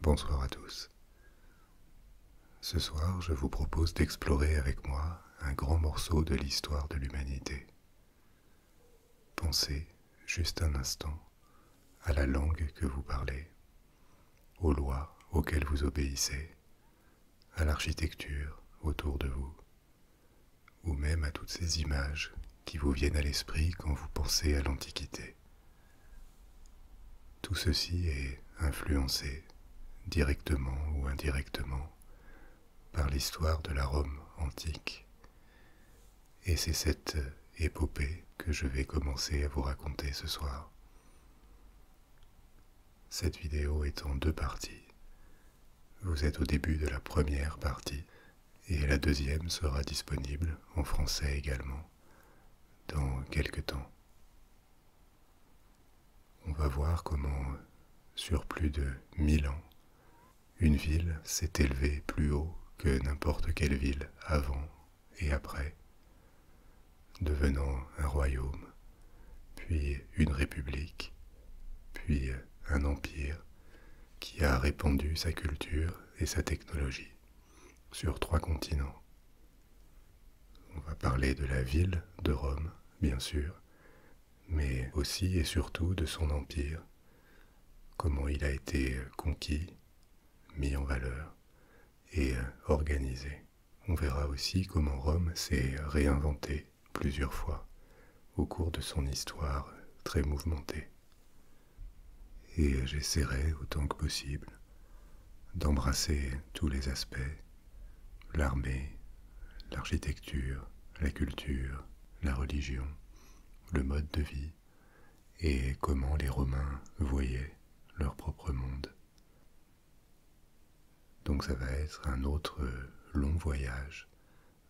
Bonsoir à tous. Ce soir, je vous propose d'explorer avec moi un grand morceau de l'histoire de l'humanité. Pensez, juste un instant, à la langue que vous parlez, aux lois auxquelles vous obéissez, à l'architecture autour de vous, ou même à toutes ces images qui vous viennent à l'esprit quand vous pensez à l'Antiquité. Tout ceci est influencé, directement ou indirectement, par l'histoire de la Rome antique. Et c'est cette épopée que je vais commencer à vous raconter ce soir. Cette vidéo est en deux parties. Vous êtes au début de la première partie et la deuxième sera disponible en français également dans quelque temps. On va voir comment, sur plus de mille ans, une ville s'est élevée plus haut que n'importe quelle ville avant et après, devenant un royaume, puis une république, puis un empire qui a répandu sa culture et sa technologie sur trois continents. On va parler de la ville de Rome, bien sûr, mais aussi et surtout de son empire, comment il a été conquis, mis en valeur et organisé. On verra aussi comment Rome s'est réinventée plusieurs fois au cours de son histoire très mouvementée et j'essaierai autant que possible d'embrasser tous les aspects, l'armée, l'architecture, la culture, la religion, le mode de vie, et comment les Romains voyaient leur propre monde. Donc ça va être un autre long voyage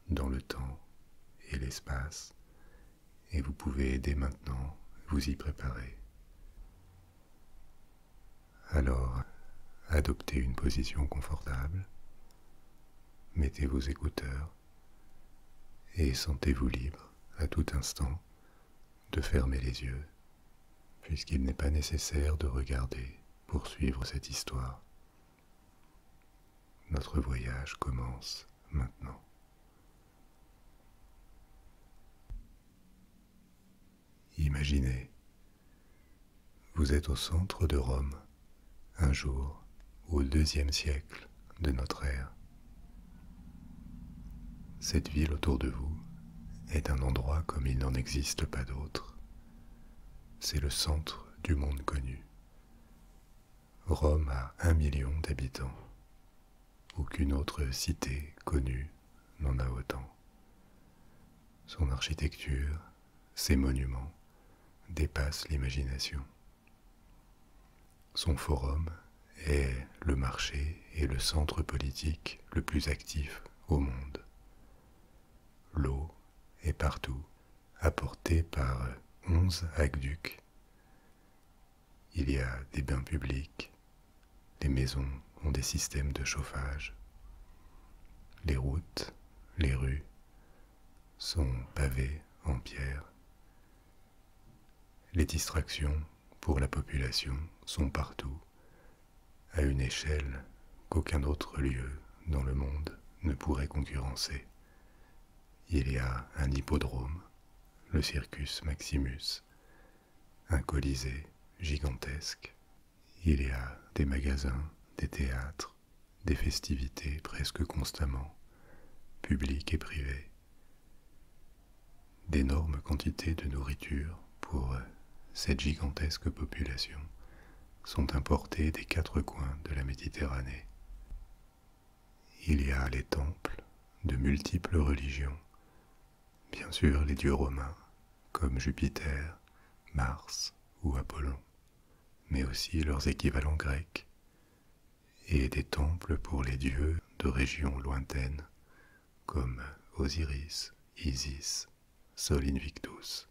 dans le temps et l'espace et vous pouvez dès maintenant vous y préparer. Alors, adoptez une position confortable, mettez vos écouteurs et sentez-vous libre à tout instant de fermer les yeux, puisqu'il n'est pas nécessaire de regarder pour suivre cette histoire. Notre voyage commence maintenant. Imaginez, vous êtes au centre de Rome, un jour au deuxième siècle de notre ère. Cette ville autour de vous est un endroit comme il n'en existe pas d'autre. C'est le centre du monde connu. Rome a un million d'habitants. Aucune autre cité connue n'en a autant. Son architecture, ses monuments dépassent l'imagination. Son forum est le marché et le centre politique le plus actif au monde. L'eau est partout, apportée par onze aqueducs il y a des bains publics, les maisons ont des systèmes de chauffage, les routes, les rues sont pavées en pierre. Les distractions pour la population sont partout, à une échelle qu'aucun autre lieu dans le monde ne pourrait concurrencer. Il y a un hippodrome, le Circus Maximus, un colisée gigantesque. Il y a des magasins, des théâtres, des festivités presque constamment, publiques et privées, d'énormes quantités de nourriture pour euh, cette gigantesque population sont importées des quatre coins de la Méditerranée. Il y a les temples de multiples religions, bien sûr les dieux romains comme Jupiter, Mars ou Apollon, mais aussi leurs équivalents grecs, et des temples pour les dieux de régions lointaines comme Osiris, Isis, Sol Invictus.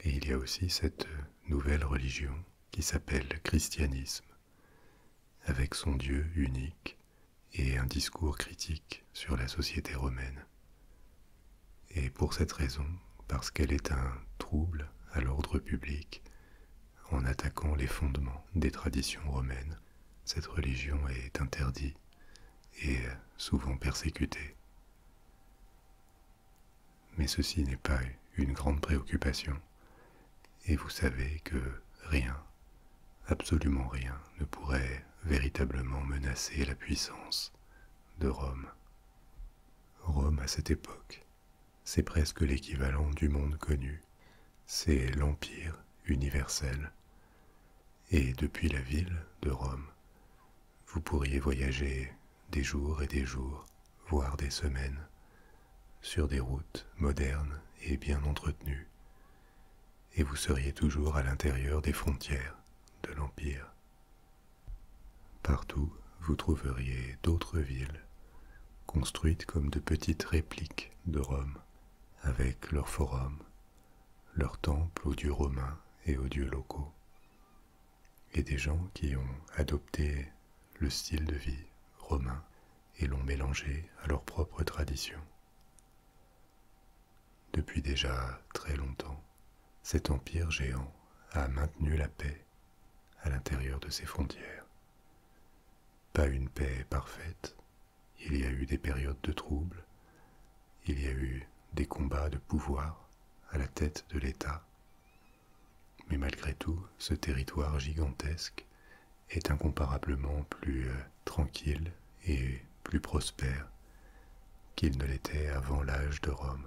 Et il y a aussi cette nouvelle religion qui s'appelle le christianisme, avec son Dieu unique et un discours critique sur la société romaine. Et pour cette raison, parce qu'elle est un trouble à l'ordre public, en attaquant les fondements des traditions romaines, cette religion est interdite et souvent persécutée. Mais ceci n'est pas une grande préoccupation et vous savez que rien, absolument rien, ne pourrait véritablement menacer la puissance de Rome. Rome à cette époque, c'est presque l'équivalent du monde connu, c'est l'Empire universel. Et depuis la ville de Rome, vous pourriez voyager des jours et des jours, voire des semaines, sur des routes modernes et bien entretenues, et vous seriez toujours à l'intérieur des frontières de l'Empire. Partout, vous trouveriez d'autres villes, construites comme de petites répliques de Rome, avec leur forum, leurs temples aux dieux romains et aux dieux locaux, et des gens qui ont adopté le style de vie romain et l'ont mélangé à leur propre tradition. Depuis déjà très longtemps, cet empire géant a maintenu la paix à l'intérieur de ses frontières. Pas une paix parfaite, il y a eu des périodes de troubles, il y a eu des combats de pouvoir à la tête de l'État, mais malgré tout, ce territoire gigantesque est incomparablement plus euh, tranquille et plus prospère qu'il ne l'était avant l'âge de Rome.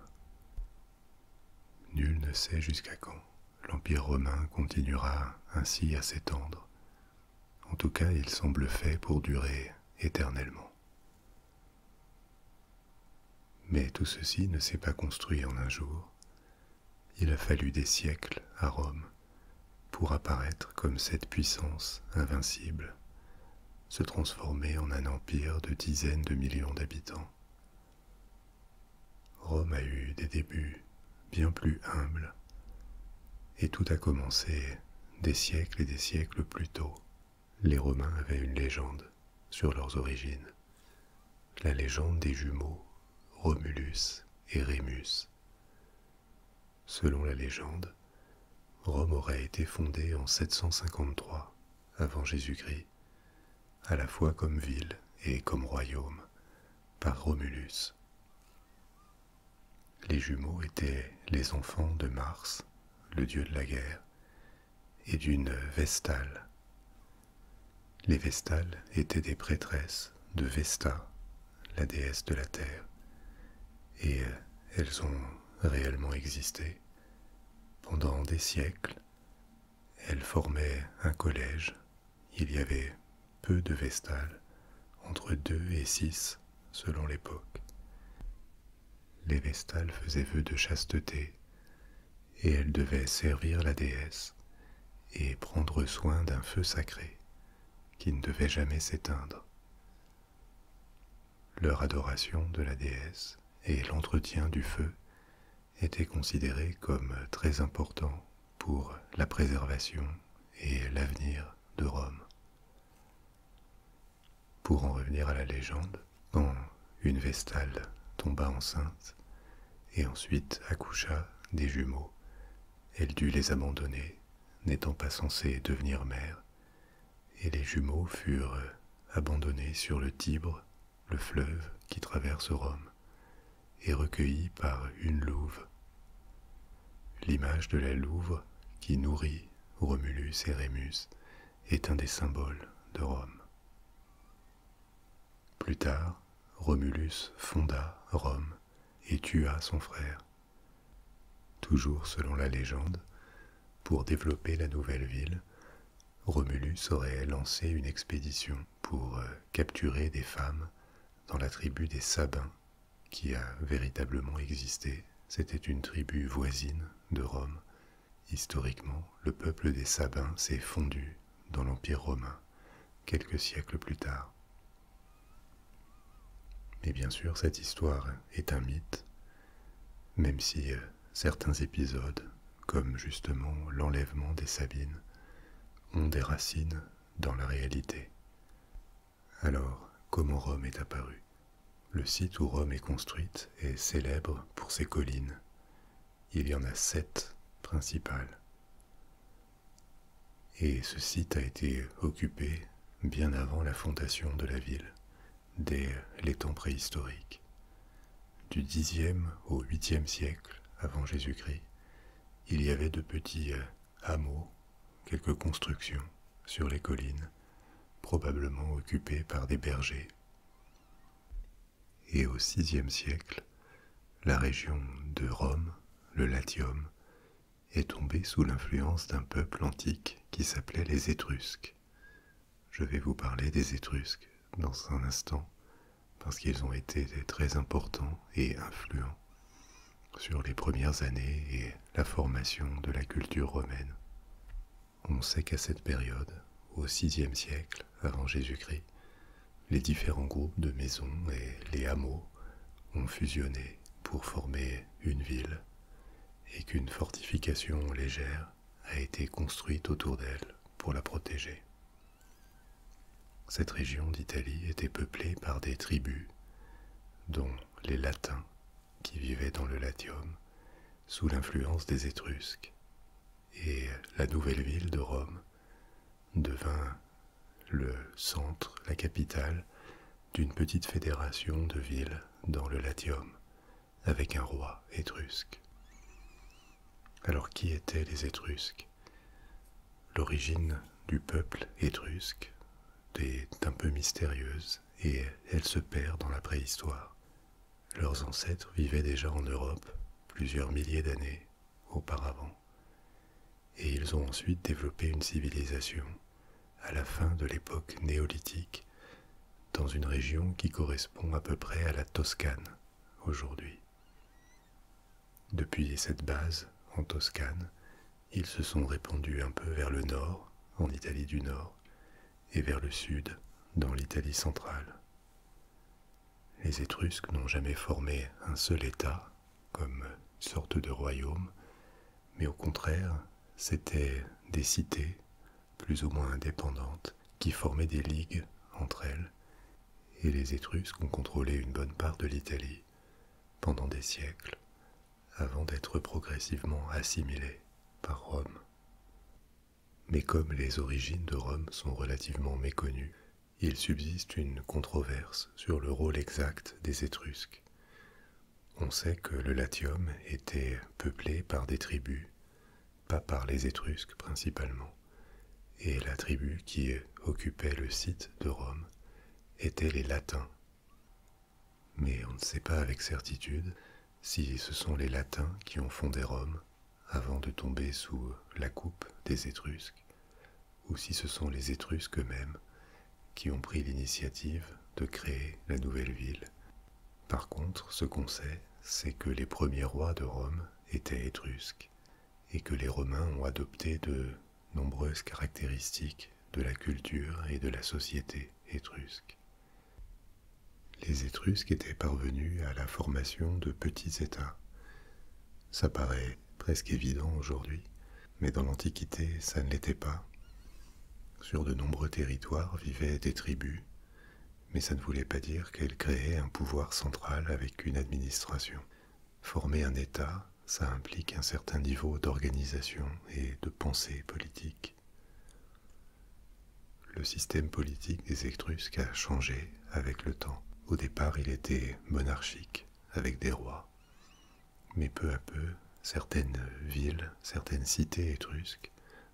Nul ne sait jusqu'à quand l'Empire romain continuera ainsi à s'étendre. En tout cas, il semble fait pour durer éternellement. Mais tout ceci ne s'est pas construit en un jour, il a fallu des siècles à Rome pour apparaître comme cette puissance invincible, se transformer en un empire de dizaines de millions d'habitants. Rome a eu des débuts bien plus humbles, et tout a commencé des siècles et des siècles plus tôt. Les Romains avaient une légende sur leurs origines, la légende des jumeaux Romulus et Rémus. Selon la légende, Rome aurait été fondée en 753 avant Jésus-Christ, à la fois comme ville et comme royaume, par Romulus. Les jumeaux étaient les enfants de Mars, le dieu de la guerre, et d'une Vestale, les Vestales étaient des prêtresses de Vesta, la déesse de la terre, et euh, elles ont réellement existé. Pendant des siècles, elles formaient un collège. Il y avait peu de Vestales, entre deux et six selon l'époque. Les Vestales faisaient vœu de chasteté et elles devaient servir la déesse et prendre soin d'un feu sacré qui ne devait jamais s'éteindre. Leur adoration de la déesse et l'entretien du feu étaient considérés comme très importants pour la préservation et l'avenir de Rome. Pour en revenir à la légende, quand une vestale tomba enceinte, et ensuite accoucha des jumeaux. Elle dut les abandonner, n'étant pas censée devenir mère, et les jumeaux furent abandonnés sur le Tibre, le fleuve qui traverse Rome, et recueillis par une louve. L'image de la louve qui nourrit Romulus et Rémus est un des symboles de Rome. Plus tard, Romulus fonda Rome et tua son frère. Toujours selon la légende, pour développer la nouvelle ville, Romulus aurait lancé une expédition pour euh, capturer des femmes dans la tribu des Sabins, qui a véritablement existé. C'était une tribu voisine de Rome. Historiquement, le peuple des Sabins s'est fondu dans l'Empire romain quelques siècles plus tard. Mais bien sûr, cette histoire est un mythe, même si euh, certains épisodes, comme justement l'enlèvement des Sabines, ont des racines dans la réalité. Alors, comment Rome est apparue Le site où Rome est construite est célèbre pour ses collines. Il y en a sept principales. Et ce site a été occupé bien avant la fondation de la ville, dès les temps préhistoriques. Du 10 au 8 siècle avant Jésus-Christ, il y avait de petits euh, hameaux, quelques constructions sur les collines, probablement occupées par des bergers. Et au VIe siècle, la région de Rome le Latium, est tombé sous l'influence d'un peuple antique qui s'appelait les Étrusques. Je vais vous parler des Étrusques dans un instant, parce qu'ils ont été très importants et influents sur les premières années et la formation de la culture romaine. On sait qu'à cette période, au VIe siècle avant Jésus-Christ, les différents groupes de maisons et les hameaux ont fusionné pour former une ville et qu'une fortification légère a été construite autour d'elle pour la protéger. Cette région d'Italie était peuplée par des tribus, dont les Latins, qui vivaient dans le Latium, sous l'influence des Étrusques, et la nouvelle ville de Rome, devint le centre, la capitale, d'une petite fédération de villes dans le Latium, avec un roi étrusque. Alors qui étaient les Étrusques L'origine du peuple étrusque est un peu mystérieuse et elle se perd dans la préhistoire. Leurs ancêtres vivaient déjà en Europe plusieurs milliers d'années auparavant, et ils ont ensuite développé une civilisation à la fin de l'époque néolithique dans une région qui correspond à peu près à la Toscane aujourd'hui. Depuis cette base, en Toscane, ils se sont répandus un peu vers le nord, en Italie du Nord, et vers le sud, dans l'Italie centrale. Les Étrusques n'ont jamais formé un seul État comme sorte de royaume, mais au contraire, c'étaient des cités, plus ou moins indépendantes, qui formaient des ligues entre elles, et les Étrusques ont contrôlé une bonne part de l'Italie pendant des siècles, avant d'être progressivement assimilés par Rome. Mais comme les origines de Rome sont relativement méconnues, il subsiste une controverse sur le rôle exact des Étrusques. On sait que le Latium était peuplé par des tribus, pas par les Étrusques principalement, et la tribu qui occupait le site de Rome était les Latins. Mais on ne sait pas avec certitude si ce sont les Latins qui ont fondé Rome avant de tomber sous la coupe des Étrusques ou si ce sont les Étrusques eux-mêmes qui ont pris l'initiative de créer la nouvelle ville. Par contre, ce qu'on sait, c'est que les premiers rois de Rome étaient Étrusques, et que les Romains ont adopté de nombreuses caractéristiques de la culture et de la société étrusques. Les Étrusques étaient parvenus à la formation de petits États, ça paraît presque évident aujourd'hui, mais dans l'Antiquité, ça ne l'était pas. Sur de nombreux territoires vivaient des tribus, mais ça ne voulait pas dire qu'elles créaient un pouvoir central avec une administration. Former un État, ça implique un certain niveau d'organisation et de pensée politique. Le système politique des Étrusques a changé avec le temps. Au départ, il était monarchique, avec des rois mais peu à peu, certaines villes, certaines cités étrusques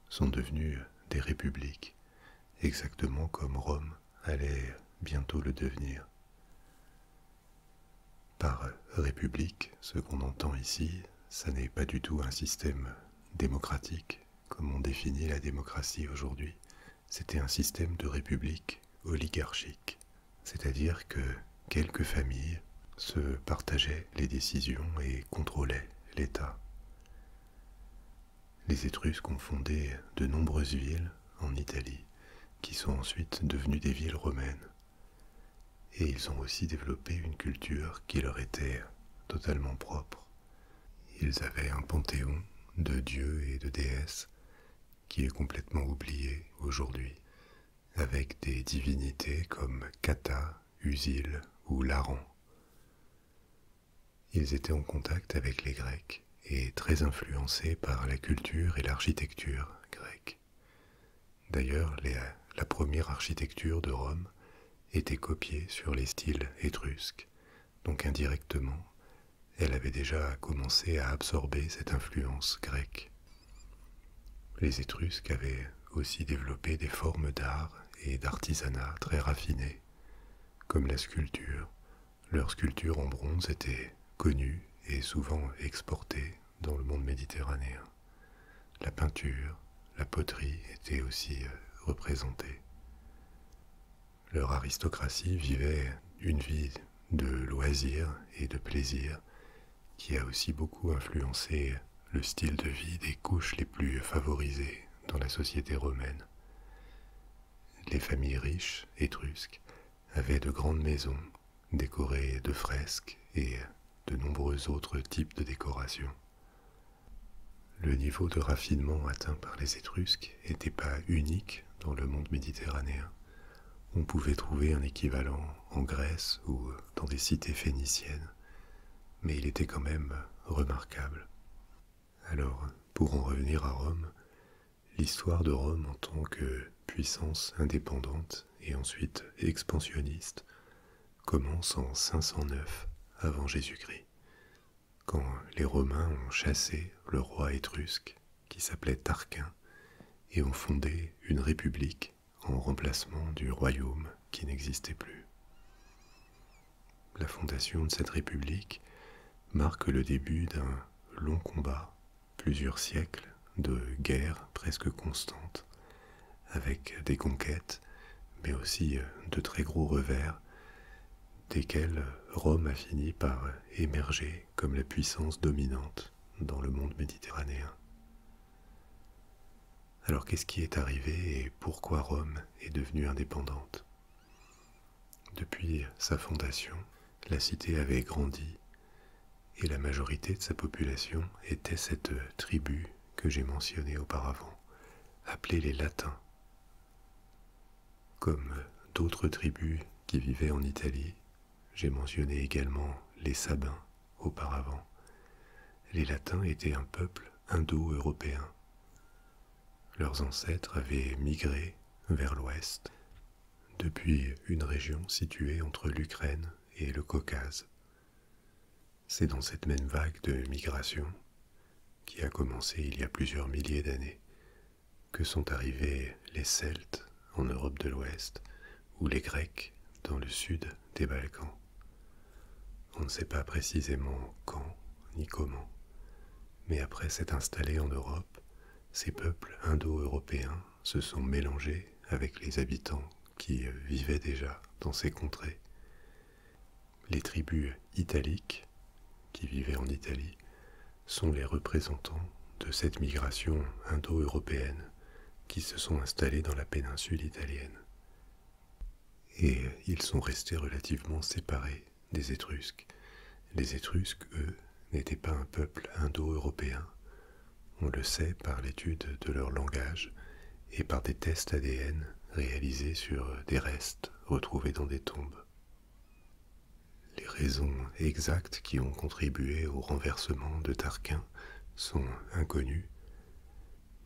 sont devenues des républiques, exactement comme Rome allait bientôt le devenir. Par république, ce qu'on entend ici, ça n'est pas du tout un système démocratique, comme on définit la démocratie aujourd'hui, c'était un système de république oligarchique, c'est-à-dire que quelques familles se partageaient les décisions et contrôlaient l'État. Les Étrusques ont fondé de nombreuses villes en Italie, qui sont ensuite devenues des villes romaines. Et ils ont aussi développé une culture qui leur était totalement propre. Ils avaient un panthéon de dieux et de déesses qui est complètement oublié aujourd'hui, avec des divinités comme Kata, Usil ou Laran. Ils étaient en contact avec les Grecs et très influencés par la culture et l'architecture grecque. D'ailleurs, la première architecture de Rome était copiée sur les styles étrusques, donc indirectement, elle avait déjà commencé à absorber cette influence grecque. Les Étrusques avaient aussi développé des formes d'art et d'artisanat très raffinées, comme la sculpture. Leur sculpture en bronze était connue et souvent exportée dans le monde méditerranéen. La peinture, la poterie étaient aussi euh, représentées. Leur aristocratie vivait une vie de loisirs et de plaisir, qui a aussi beaucoup influencé le style de vie des couches les plus favorisées dans la société romaine. Les familles riches, étrusques, avaient de grandes maisons décorées de fresques et de nombreux autres types de décorations. Le niveau de raffinement atteint par les Étrusques n'était pas unique dans le monde méditerranéen on pouvait trouver un équivalent en Grèce ou dans des cités phéniciennes, mais il était quand même remarquable. Alors, pour en revenir à Rome, l'histoire de Rome en tant que puissance indépendante et ensuite expansionniste commence en 509 avant Jésus-Christ, quand les Romains ont chassé le roi étrusque qui s'appelait Tarquin et ont fondé une république en remplacement du royaume qui n'existait plus. La fondation de cette république marque le début d'un long combat, plusieurs siècles de guerre presque constantes, avec des conquêtes, mais aussi euh, de très gros revers, desquels Rome a fini par émerger comme la puissance dominante dans le monde méditerranéen. Alors qu'est-ce qui est arrivé et pourquoi Rome est devenue indépendante Depuis sa fondation, la cité avait grandi et la majorité de sa population était cette tribu que j'ai mentionnée auparavant, appelée les Latins. Comme d'autres tribus qui vivaient en Italie, j'ai mentionné également les Sabins auparavant. Les Latins étaient un peuple indo-européen. Leurs ancêtres avaient migré vers l'ouest, depuis une région située entre l'Ukraine et le Caucase. C'est dans cette même vague de migration, qui a commencé il y a plusieurs milliers d'années, que sont arrivés les Celtes en Europe de l'Ouest ou les Grecs dans le sud des Balkans. On ne sait pas précisément quand ni comment, mais après s'être installés en Europe, ces peuples indo-européens se sont mélangés avec les habitants qui vivaient déjà dans ces contrées. Les tribus italiques, qui vivaient en Italie, sont les représentants de cette migration indo-européenne qui se sont installés dans la péninsule italienne. Et ils sont restés relativement séparés des Étrusques. Les Étrusques, eux, n'étaient pas un peuple indo-européen. On le sait par l'étude de leur langage et par des tests ADN réalisés sur des restes retrouvés dans des tombes. Les raisons exactes qui ont contribué au renversement de Tarquin sont inconnues,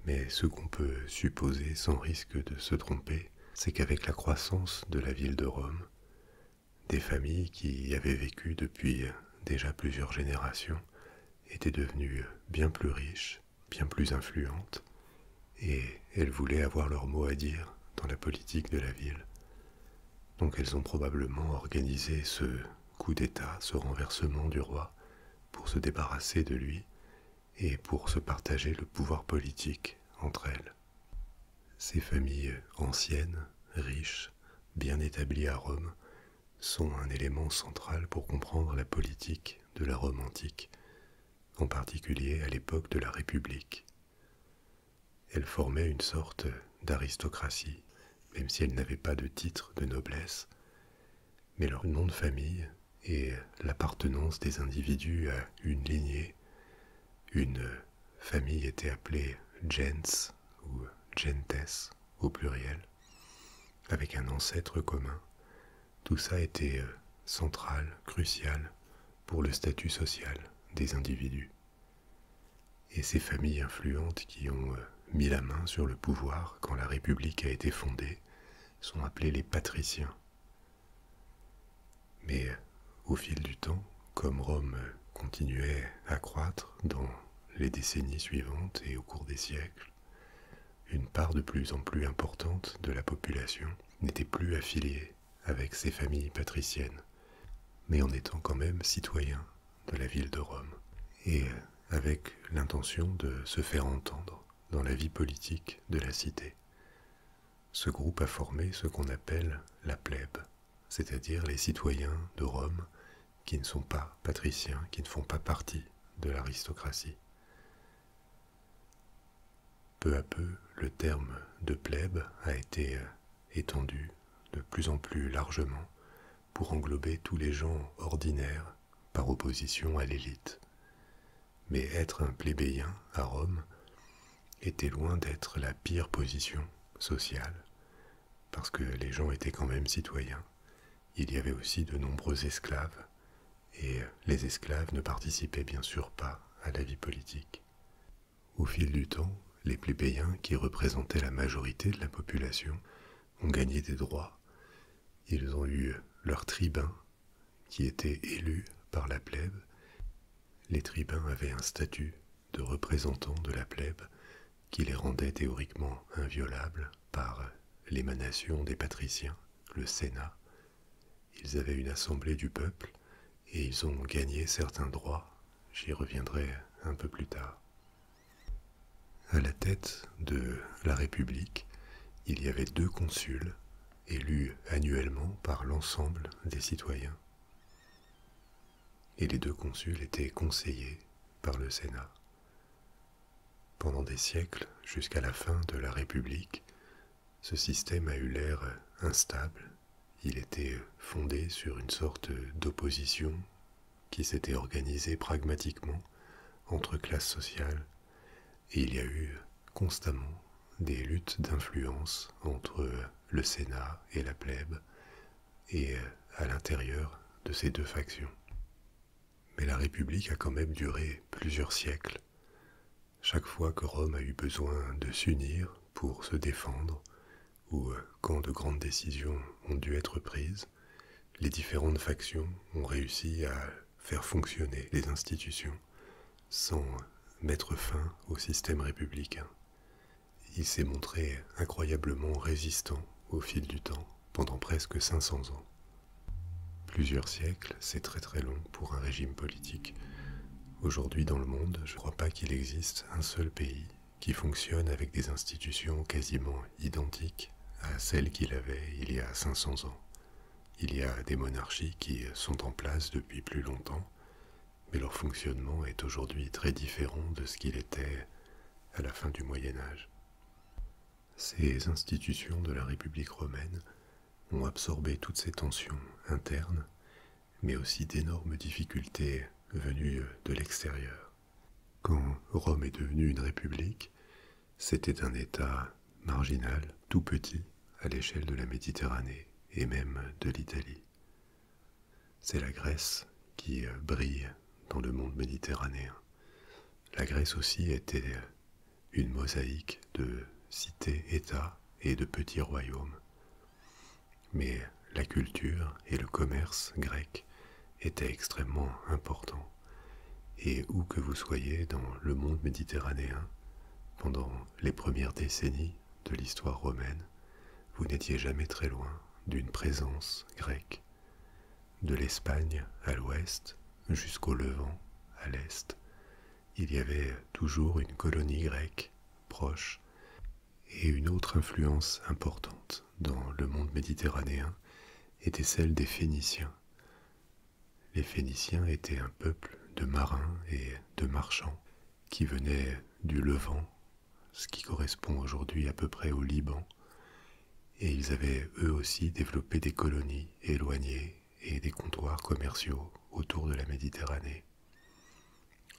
mais ce qu'on peut supposer sans risque de se tromper, c'est qu'avec la croissance de la ville de Rome, des familles qui y avaient vécu depuis déjà plusieurs générations étaient devenues bien plus riches, bien plus influentes, et elles voulaient avoir leur mot à dire dans la politique de la ville. Donc elles ont probablement organisé ce coup d'État, ce renversement du roi, pour se débarrasser de lui et pour se partager le pouvoir politique entre elles. Ces familles anciennes, riches, bien établies à Rome, sont un élément central pour comprendre la politique de la Rome antique, en particulier à l'époque de la République. Elles formaient une sorte d'aristocratie, même si elles n'avaient pas de titre de noblesse, mais leur nom de famille et l'appartenance des individus à une lignée, une famille était appelée gens ou gentes au pluriel, avec un ancêtre commun. Tout ça était euh, central, crucial pour le statut social des individus et ces familles influentes qui ont euh, mis la main sur le pouvoir quand la République a été fondée sont appelées les patriciens. Mais euh, au fil du temps, comme Rome euh, continuait à croître dans les décennies suivantes et au cours des siècles, une part de plus en plus importante de la population n'était plus affiliée avec ces familles patriciennes, mais en étant quand même citoyen de la ville de Rome, et euh, avec l'intention de se faire entendre dans la vie politique de la cité. Ce groupe a formé ce qu'on appelle la plèbe, c'est-à-dire les citoyens de Rome qui ne sont pas patriciens, qui ne font pas partie de l'aristocratie. Peu à peu, le terme de plèbe a été euh, étendu de plus en plus largement pour englober tous les gens ordinaires par opposition à l'élite. Mais être un plébéien à Rome était loin d'être la pire position sociale, parce que les gens étaient quand même citoyens. Il y avait aussi de nombreux esclaves, et les esclaves ne participaient bien sûr pas à la vie politique. Au fil du temps, les plébéiens, qui représentaient la majorité de la population, ont gagné des droits. Ils ont eu leurs tribuns, qui étaient élus par la plèbe. Les tribuns avaient un statut de représentants de la plèbe qui les rendait théoriquement inviolables par l'émanation des patriciens, le Sénat. Ils avaient une assemblée du peuple et ils ont gagné certains droits j'y reviendrai un peu plus tard. À la tête de la République, il y avait deux consuls élus annuellement par l'ensemble des citoyens. Et les deux consuls étaient conseillés par le Sénat. Pendant des siècles, jusqu'à la fin de la République, ce système a eu l'air instable il était fondé sur une sorte d'opposition qui s'était organisée pragmatiquement entre classes sociales, et il y a eu constamment des luttes d'influence entre le Sénat et la plèbe, et euh, à l'intérieur de ces deux factions. Mais la République a quand même duré plusieurs siècles. Chaque fois que Rome a eu besoin de s'unir pour se défendre, où, euh, quand de grandes décisions ont dû être prises, les différentes factions ont réussi à faire fonctionner les institutions sans euh, mettre fin au système républicain. Il s'est montré incroyablement résistant au fil du temps, pendant presque 500 ans. Plusieurs siècles, c'est très très long pour un régime politique. Aujourd'hui dans le monde, je ne crois pas qu'il existe un seul pays qui fonctionne avec des institutions quasiment identiques à celles qu'il avait il y a 500 ans. Il y a des monarchies qui sont en place depuis plus longtemps, mais leur fonctionnement est aujourd'hui très différent de ce qu'il était à la fin du Moyen Âge. Ces institutions de la République romaine ont absorbé toutes ces tensions internes mais aussi d'énormes difficultés venues de l'extérieur. Quand Rome est devenue une république, c'était un État marginal, tout petit, à l'échelle de la Méditerranée et même de l'Italie. C'est la Grèce qui brille dans le monde méditerranéen. La Grèce aussi était une mosaïque de cités-États et de petits royaumes, mais la culture et le commerce grec étaient extrêmement importants, et où que vous soyez dans le monde méditerranéen, pendant les premières décennies de l'histoire romaine, vous n'étiez jamais très loin d'une présence grecque. De l'Espagne à l'ouest jusqu'au Levant à l'est, il y avait toujours une colonie grecque proche et une autre influence importante dans le monde méditerranéen était celle des Phéniciens. Les Phéniciens étaient un peuple de marins et de marchands qui venaient du Levant, ce qui correspond aujourd'hui à peu près au Liban, et ils avaient eux aussi développé des colonies éloignées et des comptoirs commerciaux autour de la Méditerranée.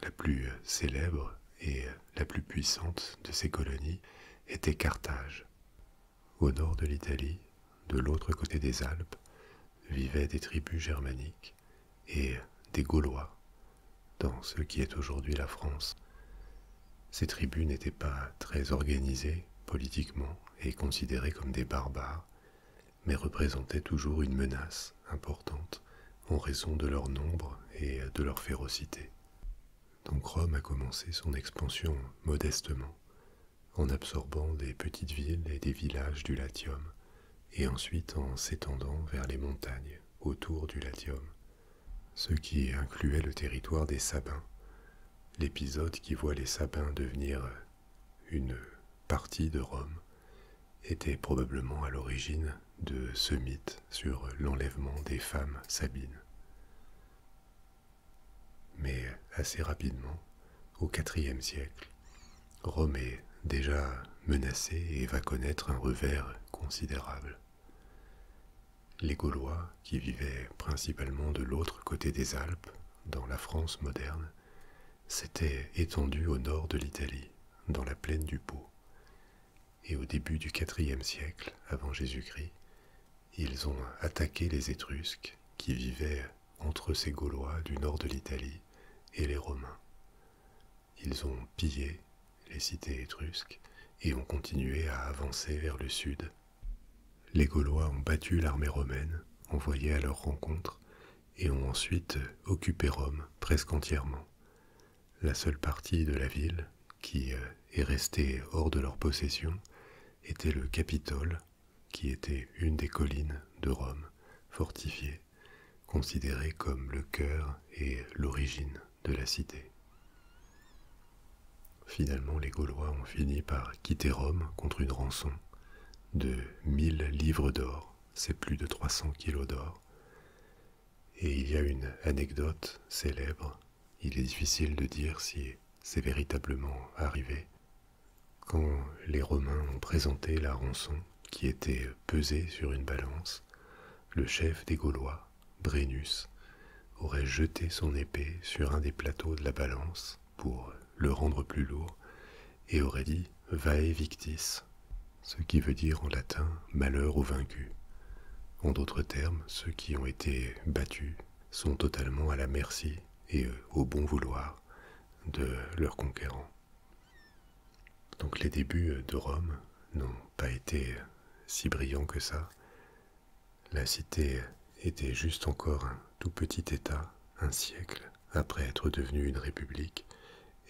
La plus euh, célèbre et euh, la plus puissante de ces colonies était Carthage. Au nord de l'Italie, de l'autre côté des Alpes, vivaient des tribus germaniques et euh, des Gaulois, dans ce qui est aujourd'hui la France. Ces tribus n'étaient pas très organisées politiquement et considérées comme des barbares, mais représentaient toujours une menace importante en raison de leur nombre et de leur férocité. Donc Rome a commencé son expansion modestement, en absorbant des petites villes et des villages du Latium, et ensuite en s'étendant vers les montagnes autour du Latium, ce qui incluait le territoire des Sabins, l'épisode qui voit les Sabins devenir une partie de Rome était probablement à l'origine de ce mythe sur l'enlèvement des femmes sabines. Mais assez rapidement, au IVe siècle, Rome est déjà menacée et va connaître un revers considérable. Les Gaulois, qui vivaient principalement de l'autre côté des Alpes, dans la France moderne, s'étaient étendus au nord de l'Italie, dans la plaine du Pô, et au début du IVe siècle avant Jésus-Christ, ils ont attaqué les Étrusques qui vivaient entre ces Gaulois du nord de l'Italie et les Romains. Ils ont pillé les cités étrusques et ont continué à avancer vers le sud. Les Gaulois ont battu l'armée romaine, envoyée à leur rencontre, et ont ensuite occupé Rome presque entièrement la seule partie de la ville qui euh, est restée hors de leur possession était le Capitole, qui était une des collines de Rome, fortifiée, considérée comme le cœur et l'origine de la cité. Finalement, les Gaulois ont fini par quitter Rome contre une rançon de 1000 livres d'or, c'est plus de 300 kilos d'or, et il y a une anecdote célèbre, il est difficile de dire si c'est véritablement arrivé, quand les Romains ont présenté la rançon qui était pesée sur une balance, le chef des Gaulois, Brennus, aurait jeté son épée sur un des plateaux de la balance pour le rendre plus lourd et aurait dit Vae victis, ce qui veut dire en latin malheur aux vaincus. En d'autres termes, ceux qui ont été battus sont totalement à la merci et euh, au bon vouloir de leurs conquérants. Donc les débuts euh, de Rome n'ont pas été euh, si brillants que ça. La cité était juste encore un tout petit État, un siècle après être devenue une république,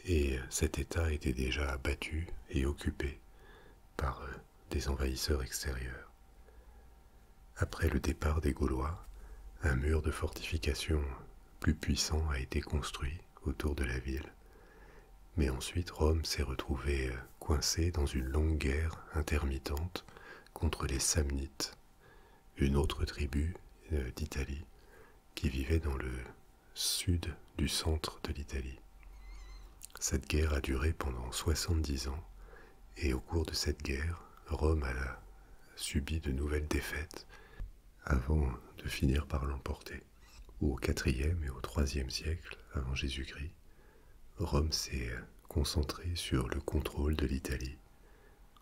et cet État était déjà battu et occupé par euh, des envahisseurs extérieurs. Après le départ des Gaulois, un mur de fortification plus puissant a été construit autour de la ville, mais ensuite Rome s'est retrouvée euh, coincée dans une longue guerre intermittente contre les Samnites, une autre tribu euh, d'Italie qui vivait dans le sud du centre de l'Italie. Cette guerre a duré pendant 70 ans et au cours de cette guerre, Rome a subi de nouvelles défaites avant de finir par l'emporter. Au IVe et au IIIe siècle avant Jésus-Christ, Rome s'est concentrée sur le contrôle de l'Italie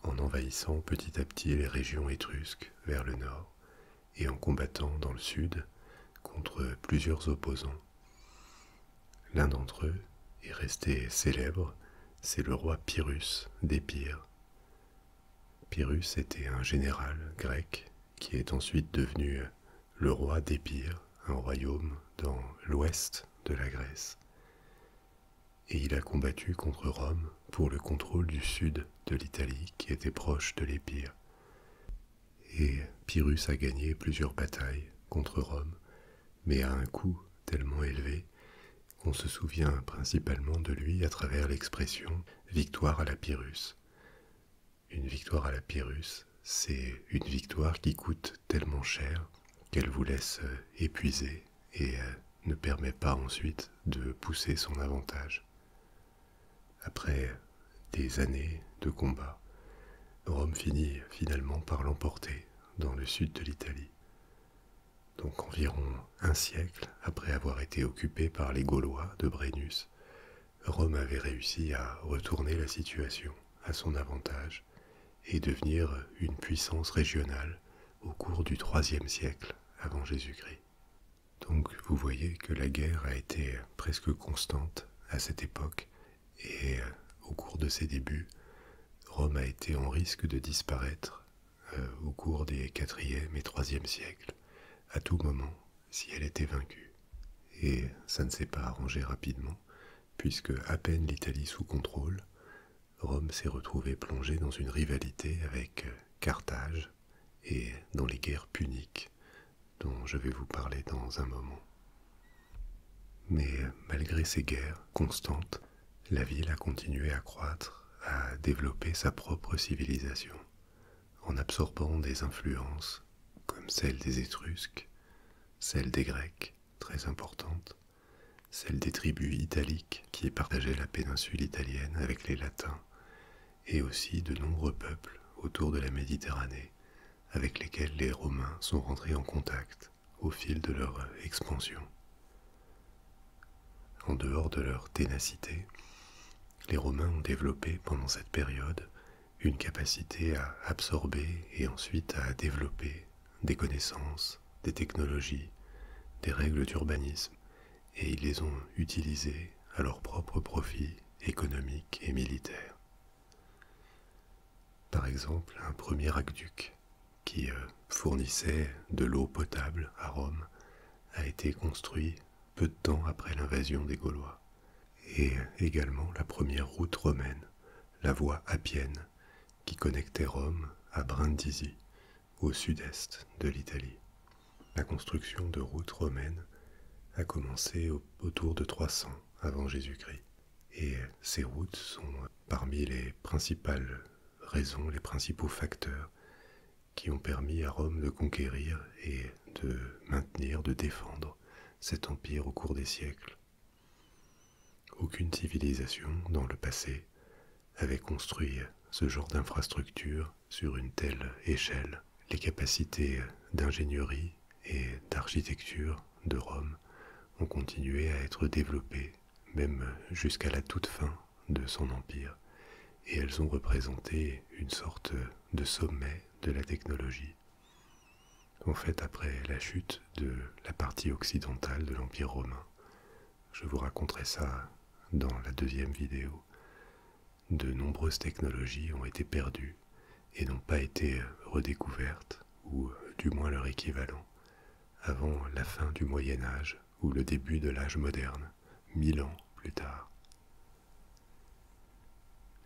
en envahissant petit à petit les régions étrusques vers le nord et en combattant dans le sud contre plusieurs opposants. L'un d'entre eux est resté célèbre, c'est le roi Pyrrhus d'Épire. Pyrrhus était un général grec qui est ensuite devenu le roi d'Épire, un royaume dans l'ouest de la Grèce. Et il a combattu contre Rome pour le contrôle du sud de l'Italie qui était proche de l'Épire et Pyrrhus a gagné plusieurs batailles contre Rome, mais à un coût tellement élevé qu'on se souvient principalement de lui à travers l'expression victoire à la Pyrrhus. Une victoire à la Pyrrhus, c'est une victoire qui coûte tellement cher qu'elle vous laisse épuisé et euh, ne permet pas ensuite de pousser son avantage. Après des années de combats, Rome finit finalement par l'emporter dans le sud de l'Italie. Donc environ un siècle après avoir été occupée par les Gaulois de Brennus, Rome avait réussi à retourner la situation à son avantage et devenir une puissance régionale au cours du IIIe siècle avant Jésus-Christ. Donc vous voyez que la guerre a été presque constante à cette époque et euh, au cours de ses débuts, Rome a été en risque de disparaître euh, au cours des 4 et 3 siècles, à tout moment, si elle était vaincue. Et ça ne s'est pas arrangé rapidement, puisque à peine l'Italie sous contrôle, Rome s'est retrouvée plongée dans une rivalité avec euh, Carthage et dans les guerres puniques dont je vais vous parler dans un moment. Mais malgré ces guerres constantes, la ville a continué à croître, à développer sa propre civilisation, en absorbant des influences comme celle des Étrusques, celle des Grecs, très importante, celle des tribus italiques qui partageaient la péninsule italienne avec les Latins, et aussi de nombreux peuples autour de la Méditerranée avec lesquels les Romains sont rentrés en contact au fil de leur expansion. En dehors de leur ténacité, les Romains ont développé pendant cette période une capacité à absorber et ensuite à développer des connaissances, des technologies, des règles d'urbanisme, et ils les ont utilisées à leur propre profit économique et militaire. Par exemple, un premier aqueduc qui euh, fournissait de l'eau potable à Rome a été construit peu de temps après l'invasion des Gaulois, et euh, également la première route romaine, la voie appienne, qui connectait Rome à Brindisi, au sud-est de l'Italie. La construction de routes romaines a commencé au autour de 300 avant Jésus-Christ. Et ces routes sont parmi les principales raisons, les principaux facteurs qui ont permis à Rome de conquérir et de maintenir, de défendre cet empire au cours des siècles. Aucune civilisation dans le passé avait construit ce genre d'infrastructure sur une telle échelle les capacités d'ingénierie et d'architecture de Rome ont continué à être développées, même jusqu'à la toute fin de son empire, et elles ont représenté une sorte de sommet de la technologie. En fait, après la chute de la partie occidentale de l'Empire romain, je vous raconterai ça dans la deuxième vidéo de nombreuses technologies ont été perdues et n'ont pas été euh, redécouvertes, ou euh, du moins leur équivalent, avant la fin du Moyen Âge ou le début de l'âge moderne, mille ans plus tard.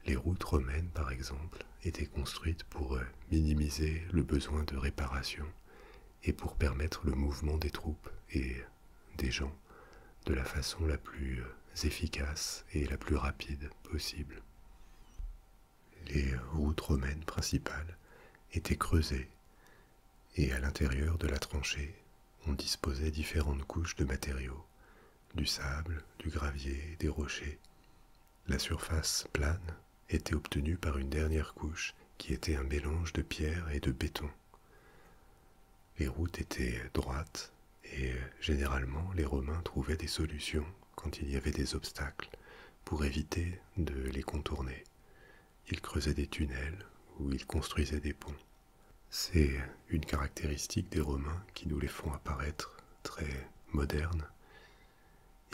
Les routes romaines, par exemple, étaient construites pour euh, minimiser le besoin de réparation et pour permettre le mouvement des troupes et des gens de la façon la plus euh, efficace et la plus rapide possible. Les routes romaines principales étaient creusées et à l'intérieur de la tranchée, on disposait différentes couches de matériaux, du sable, du gravier, des rochers. La surface plane était obtenue par une dernière couche qui était un mélange de pierre et de béton. Les routes étaient droites et euh, généralement, les Romains trouvaient des solutions quand il y avait des obstacles pour éviter de les contourner. Ils creusaient des tunnels ou ils construisaient des ponts. C'est une caractéristique des Romains qui nous les font apparaître très modernes.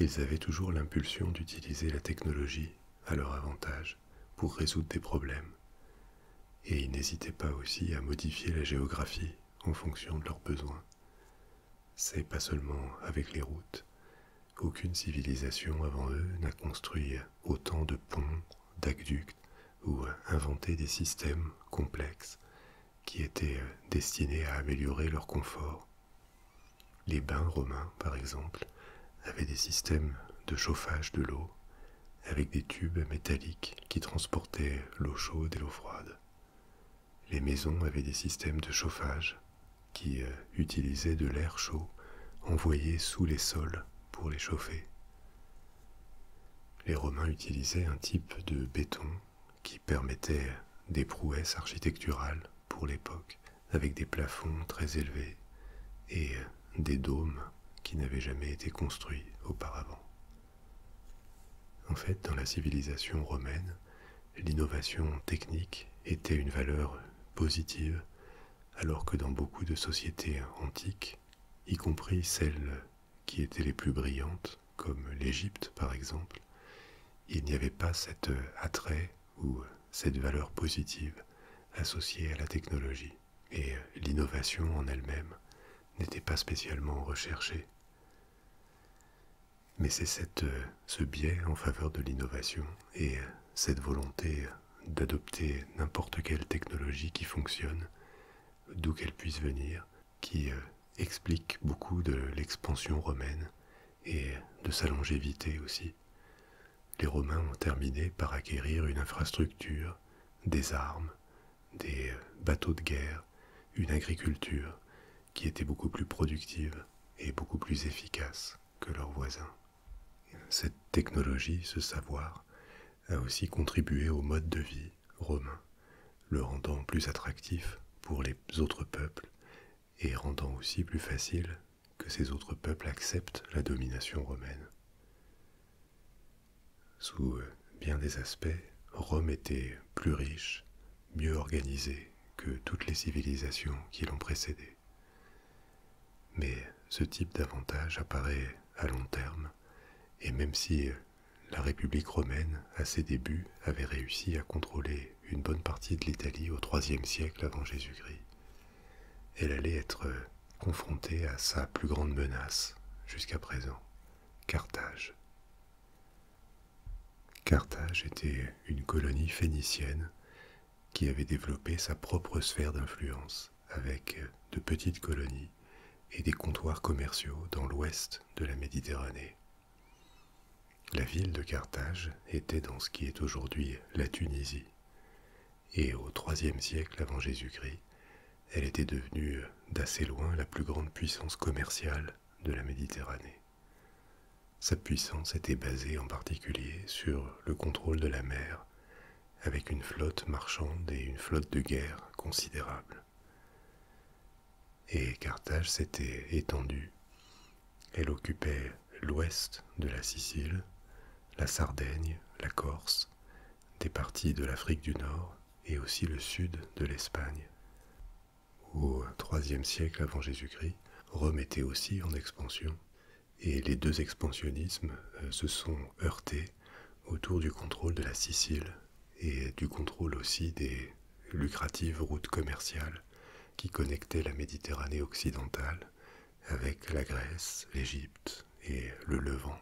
Ils avaient toujours l'impulsion d'utiliser la technologie à leur avantage pour résoudre des problèmes. Et ils n'hésitaient pas aussi à modifier la géographie en fonction de leurs besoins. C'est pas seulement avec les routes. Aucune civilisation avant eux n'a construit autant de ponts, d'aqueducs ou inventé des systèmes complexes qui étaient euh, destinés à améliorer leur confort. Les bains romains, par exemple, avaient des systèmes de chauffage de l'eau avec des tubes métalliques qui transportaient l'eau chaude et l'eau froide. Les maisons avaient des systèmes de chauffage qui euh, utilisaient de l'air chaud envoyé sous les sols pour les chauffer. Les Romains utilisaient un type de béton qui permettait des prouesses architecturales pour l'époque, avec des plafonds très élevés et euh, des dômes qui n'avaient jamais été construits auparavant. En fait, dans la civilisation romaine, l'innovation technique était une valeur positive, alors que dans beaucoup de sociétés antiques, y compris celles qui étaient les plus brillantes, comme l'Égypte par exemple, il n'y avait pas cet attrait ou cette valeur positive associée à la technologie, et l'innovation en elle-même n'était pas spécialement recherchée mais c'est euh, ce biais en faveur de l'innovation et euh, cette volonté euh, d'adopter n'importe quelle technologie qui fonctionne, d'où qu'elle puisse venir, qui explique beaucoup de l'expansion romaine et de sa longévité aussi. Les Romains ont terminé par acquérir une infrastructure, des armes, des bateaux de guerre, une agriculture qui était beaucoup plus productive et beaucoup plus efficace que leurs voisins. Cette technologie, ce savoir, a aussi contribué au mode de vie romain, le rendant plus attractif pour les autres peuples et rendant aussi plus facile que ces autres peuples acceptent la domination romaine. Sous euh, bien des aspects, Rome était plus riche, mieux organisée que toutes les civilisations qui l'ont précédée. Mais ce type d'avantage apparaît à long terme, et même si euh, la République romaine, à ses débuts, avait réussi à contrôler une bonne partie de l'Italie au IIIe siècle avant Jésus-Christ, elle allait être euh, confrontée à sa plus grande menace jusqu'à présent, Carthage, Carthage était une colonie phénicienne qui avait développé sa propre sphère d'influence avec de petites colonies et des comptoirs commerciaux dans l'ouest de la Méditerranée. La ville de Carthage était dans ce qui est aujourd'hui la Tunisie, et au IIIe siècle avant Jésus-Christ, elle était devenue d'assez loin la plus grande puissance commerciale de la Méditerranée. Sa puissance était basée en particulier sur le contrôle de la mer, avec une flotte marchande et une flotte de guerre considérable. Et Carthage s'était étendue. Elle occupait l'ouest de la Sicile, la Sardaigne, la Corse, des parties de l'Afrique du Nord et aussi le sud de l'Espagne. Au IIIe siècle avant Jésus-Christ, Rome était aussi en expansion, et les deux expansionnismes euh, se sont heurtés autour du contrôle de la Sicile et du contrôle aussi des lucratives routes commerciales qui connectaient la Méditerranée occidentale avec la Grèce, l'Égypte et le Levant,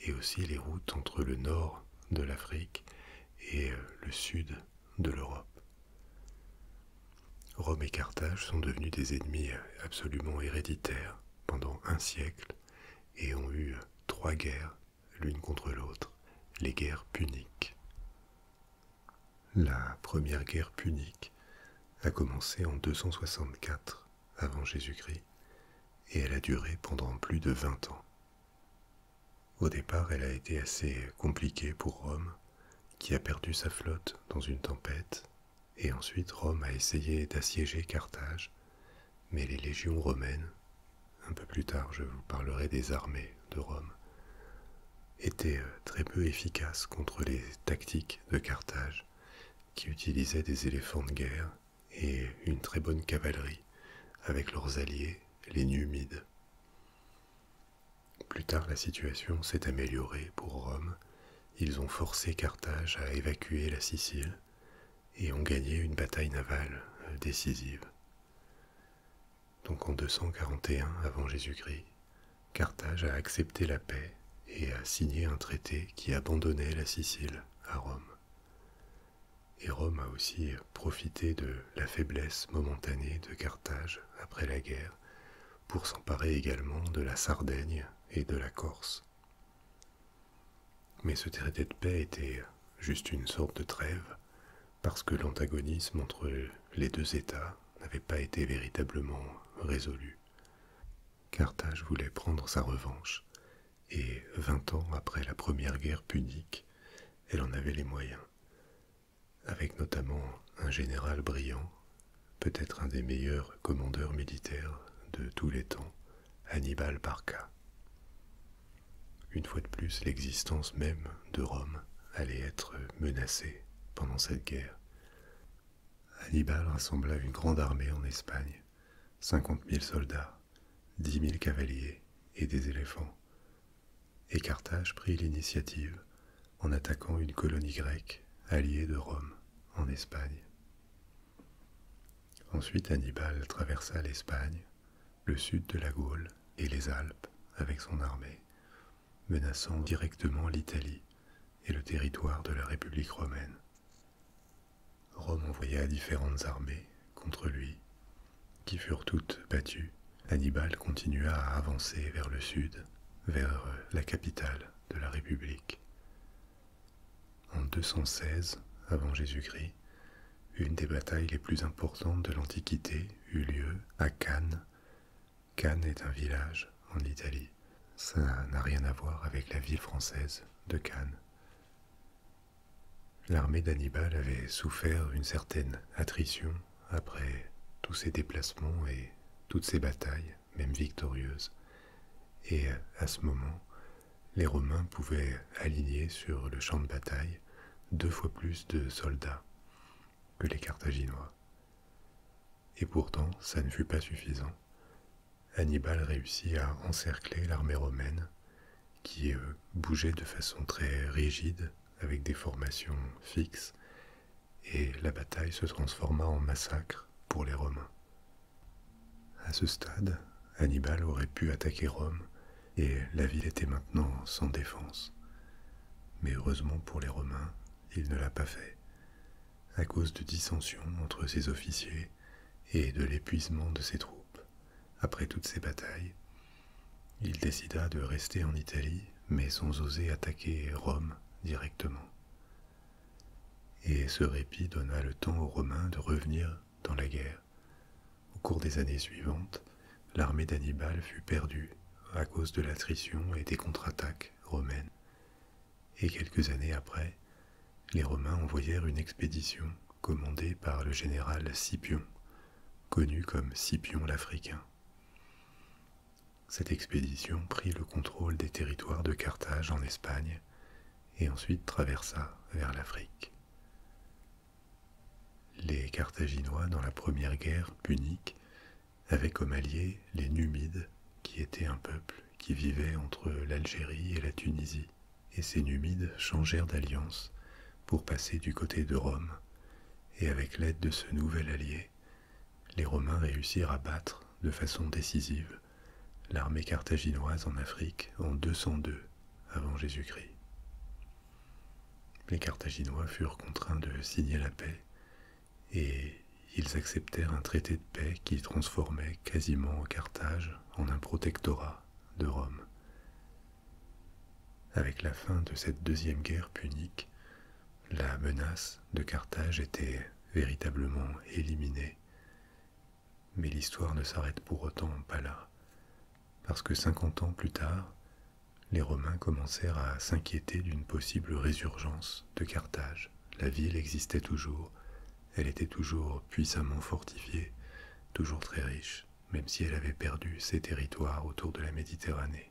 et aussi les routes entre le nord de l'Afrique et euh, le sud de l'Europe. Rome et Carthage sont devenus des ennemis euh, absolument héréditaires pendant un siècle et ont eu euh, trois guerres l'une contre l'autre, les guerres puniques. La première guerre punique a commencé en 264 avant Jésus-Christ et elle a duré pendant plus de 20 ans. Au départ, elle a été assez compliquée pour Rome, qui a perdu sa flotte dans une tempête, et ensuite Rome a essayé d'assiéger Carthage, mais les légions romaines, un peu plus tard je vous parlerai des armées de Rome, étaient euh, très peu efficaces contre les tactiques de Carthage, qui utilisaient des éléphants de guerre et une très bonne cavalerie avec leurs alliés, les Numides. Plus tard, la situation s'est améliorée pour Rome. Ils ont forcé Carthage à évacuer la Sicile et ont gagné une bataille navale euh, décisive. Donc en 241 avant Jésus-Christ, Carthage a accepté la paix et a signé un traité qui abandonnait la Sicile à Rome et Rome a aussi profité de la faiblesse momentanée de Carthage après la guerre pour s'emparer également de la Sardaigne et de la Corse. Mais ce traité de paix était juste une sorte de trêve, parce que l'antagonisme entre les deux États n'avait pas été véritablement résolu. Carthage voulait prendre sa revanche et vingt ans après la première guerre punique, elle en avait les moyens, avec notamment un général brillant, peut-être un des meilleurs commandeurs militaires de tous les temps, Hannibal Parca. Une fois de plus, l'existence même de Rome allait être menacée pendant cette guerre. Hannibal rassembla une grande armée en Espagne, cinquante 000 soldats, dix mille cavaliers et des éléphants. Et Carthage prit l'initiative en attaquant une colonie grecque alliée de Rome en Espagne. Ensuite Hannibal traversa l'Espagne, le sud de la Gaule et les Alpes avec son armée, menaçant directement l'Italie et le territoire de la République romaine. Rome envoya différentes armées contre lui, qui furent toutes battues. Hannibal continua à avancer vers le sud, vers la capitale de la République. En 216 avant Jésus-Christ, une des batailles les plus importantes de l'Antiquité eut lieu à Cannes. Cannes est un village en Italie. Ça n'a rien à voir avec la ville française de Cannes. L'armée d'Hannibal avait souffert une certaine attrition après tous ses déplacements et toutes ses batailles, même victorieuses, et à ce moment, les Romains pouvaient aligner sur le champ de bataille deux fois plus de soldats que les Carthaginois. Et pourtant, ça ne fut pas suffisant. Hannibal réussit à encercler l'armée romaine qui euh, bougeait de façon très rigide, avec des formations fixes, et la bataille se transforma en massacre pour les Romains. À ce stade, Hannibal aurait pu attaquer Rome, et la ville était maintenant sans défense. Mais heureusement pour les Romains, il ne l'a pas fait, à cause de dissensions entre ses officiers et de l'épuisement de ses troupes après toutes ces batailles, il décida de rester en Italie, mais sans oser attaquer Rome directement. Et ce répit donna le temps aux Romains de revenir dans la guerre. Au cours des années suivantes, l'armée d'Annibal fut perdue à cause de l'attrition et des contre-attaques romaines. Et quelques années après, les Romains envoyèrent une expédition commandée par le général Scipion connu comme Scipion l'Africain. Cette expédition prit le contrôle des territoires de Carthage en Espagne et ensuite traversa vers l'Afrique. Les Carthaginois, dans la première guerre punique, avaient comme alliés les Numides, qui étaient un peuple qui vivait entre l'Algérie et la Tunisie et ces Numides changèrent d'alliance pour passer du côté de Rome, et avec l'aide de ce nouvel allié, les Romains réussirent à battre de façon décisive l'armée carthaginoise en Afrique en 202 avant Jésus-Christ. Les Carthaginois furent contraints de signer la paix et ils acceptèrent un traité de paix qui transformait quasiment Carthage en un protectorat de Rome, avec la fin de cette deuxième guerre punique, la menace de Carthage était véritablement éliminée. Mais l'histoire ne s'arrête pour autant pas là, parce que cinquante ans plus tard, les Romains commencèrent à s'inquiéter d'une possible résurgence de Carthage. La ville existait toujours, elle était toujours puissamment fortifiée, toujours très riche même si elle avait perdu ses territoires autour de la Méditerranée.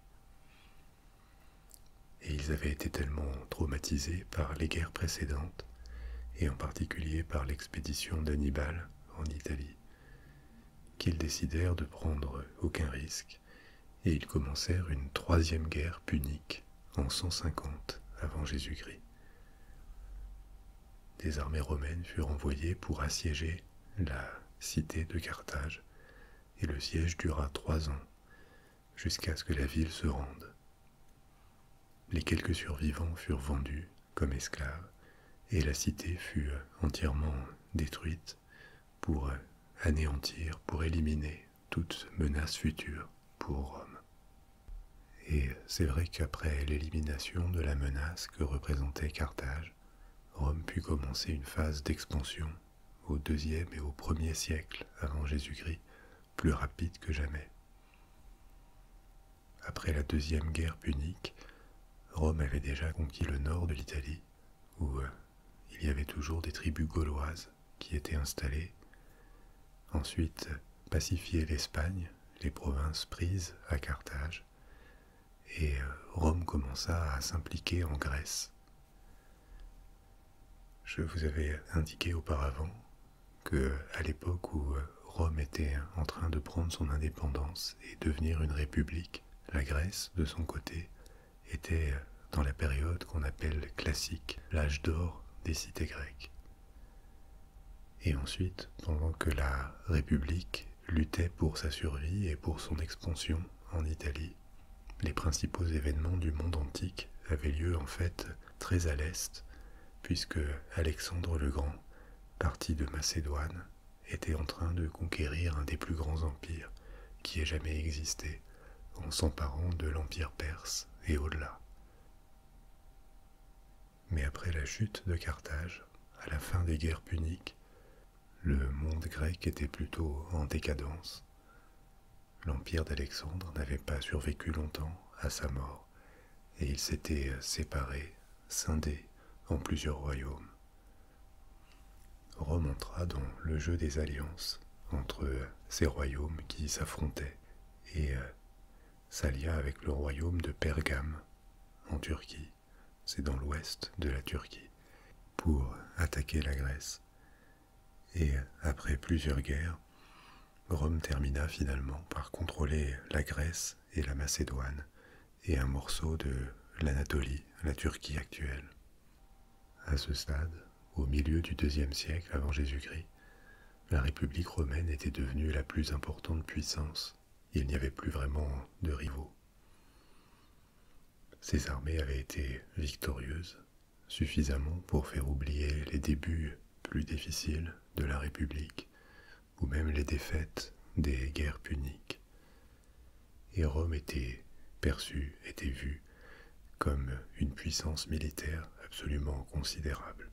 Et ils avaient été tellement traumatisés par les guerres précédentes, et en particulier par l'expédition d'Annibal en Italie, qu'ils décidèrent de prendre aucun risque, et ils commencèrent une troisième guerre punique en 150 avant Jésus-Christ. Des armées romaines furent envoyées pour assiéger la cité de Carthage, et le siège dura trois ans, jusqu'à ce que la ville se rende. Les quelques survivants furent vendus comme esclaves, et la cité fut entièrement détruite pour anéantir, pour éliminer toute menace future pour Rome. Et c'est vrai qu'après l'élimination de la menace que représentait Carthage, Rome put commencer une phase d'expansion au deuxième et au premier siècle avant Jésus-Christ, plus rapide que jamais. Après la deuxième guerre punique, Rome avait déjà conquis le nord de l'Italie, où euh, il y avait toujours des tribus gauloises qui étaient installées. Ensuite, pacifier l'Espagne, les provinces prises à Carthage, et euh, Rome commença à s'impliquer en Grèce. Je vous avais indiqué auparavant que, à l'époque où euh, Rome était en train de prendre son indépendance et devenir une république, la Grèce, de son côté, était euh, dans la période qu'on appelle classique, l'âge d'or des cités grecques. Et ensuite, pendant que la République Luttait pour sa survie et pour son expansion en Italie. Les principaux événements du monde antique avaient lieu en fait très à l'est, puisque Alexandre le Grand, parti de Macédoine, était en train de conquérir un des plus grands empires qui ait jamais existé, en s'emparant de l'empire perse et au-delà mais après la chute de Carthage, à la fin des guerres puniques, le monde grec était plutôt en décadence. L'empire d'Alexandre n'avait pas survécu longtemps à sa mort, et il s'était séparé, scindé en plusieurs royaumes. Rome entra dans le jeu des alliances entre ces royaumes qui s'affrontaient et euh, s'allia avec le royaume de Pergame en Turquie c'est dans l'ouest de la Turquie, pour attaquer la Grèce. Et après plusieurs guerres, Rome termina finalement par contrôler la Grèce et la Macédoine, et un morceau de l'Anatolie, la Turquie actuelle. À ce stade, au milieu du IIe siècle avant Jésus-Christ, la République romaine était devenue la plus importante puissance. Il n'y avait plus vraiment de rivaux. Ces armées avaient été victorieuses, suffisamment pour faire oublier les débuts plus difficiles de la République, ou même les défaites des guerres puniques. Et Rome était perçue, était vue comme une puissance militaire absolument considérable.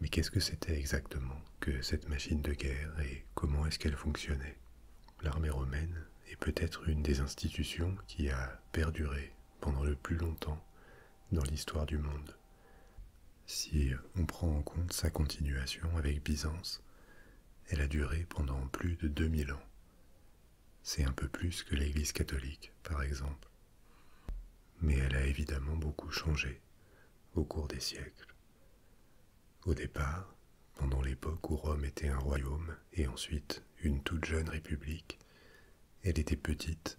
Mais qu'est-ce que c'était exactement que cette machine de guerre et comment est-ce qu'elle fonctionnait L'armée romaine est peut-être une des institutions qui a perduré pendant le plus longtemps dans l'histoire du monde. Si on prend en compte sa continuation avec Byzance, elle a duré pendant plus de 2000 ans. C'est un peu plus que l'Église catholique, par exemple. Mais elle a évidemment beaucoup changé au cours des siècles. Au départ, pendant l'époque où Rome était un royaume et ensuite une toute jeune république, elle était petite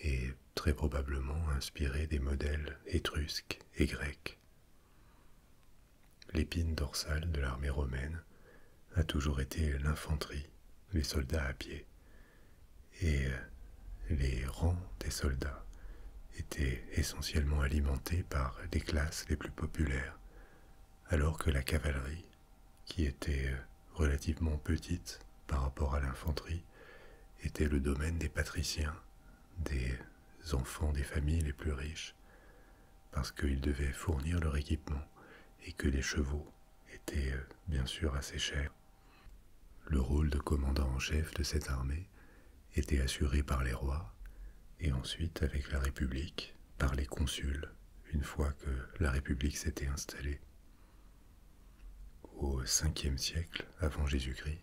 et très probablement inspirée des modèles étrusques et grecs. L'épine dorsale de l'armée romaine a toujours été l'infanterie, les soldats à pied, et les rangs des soldats étaient essentiellement alimentés par les classes les plus populaires, alors que la cavalerie, qui était euh, relativement petite par rapport à l'infanterie, était le domaine des patriciens, des enfants des familles les plus riches, parce qu'ils devaient fournir leur équipement et que les chevaux étaient euh, bien sûr assez chers. Le rôle de commandant en chef de cette armée était assurée par les rois et ensuite avec la République par les consuls une fois que la République s'était installée. Au Ve siècle avant Jésus-Christ,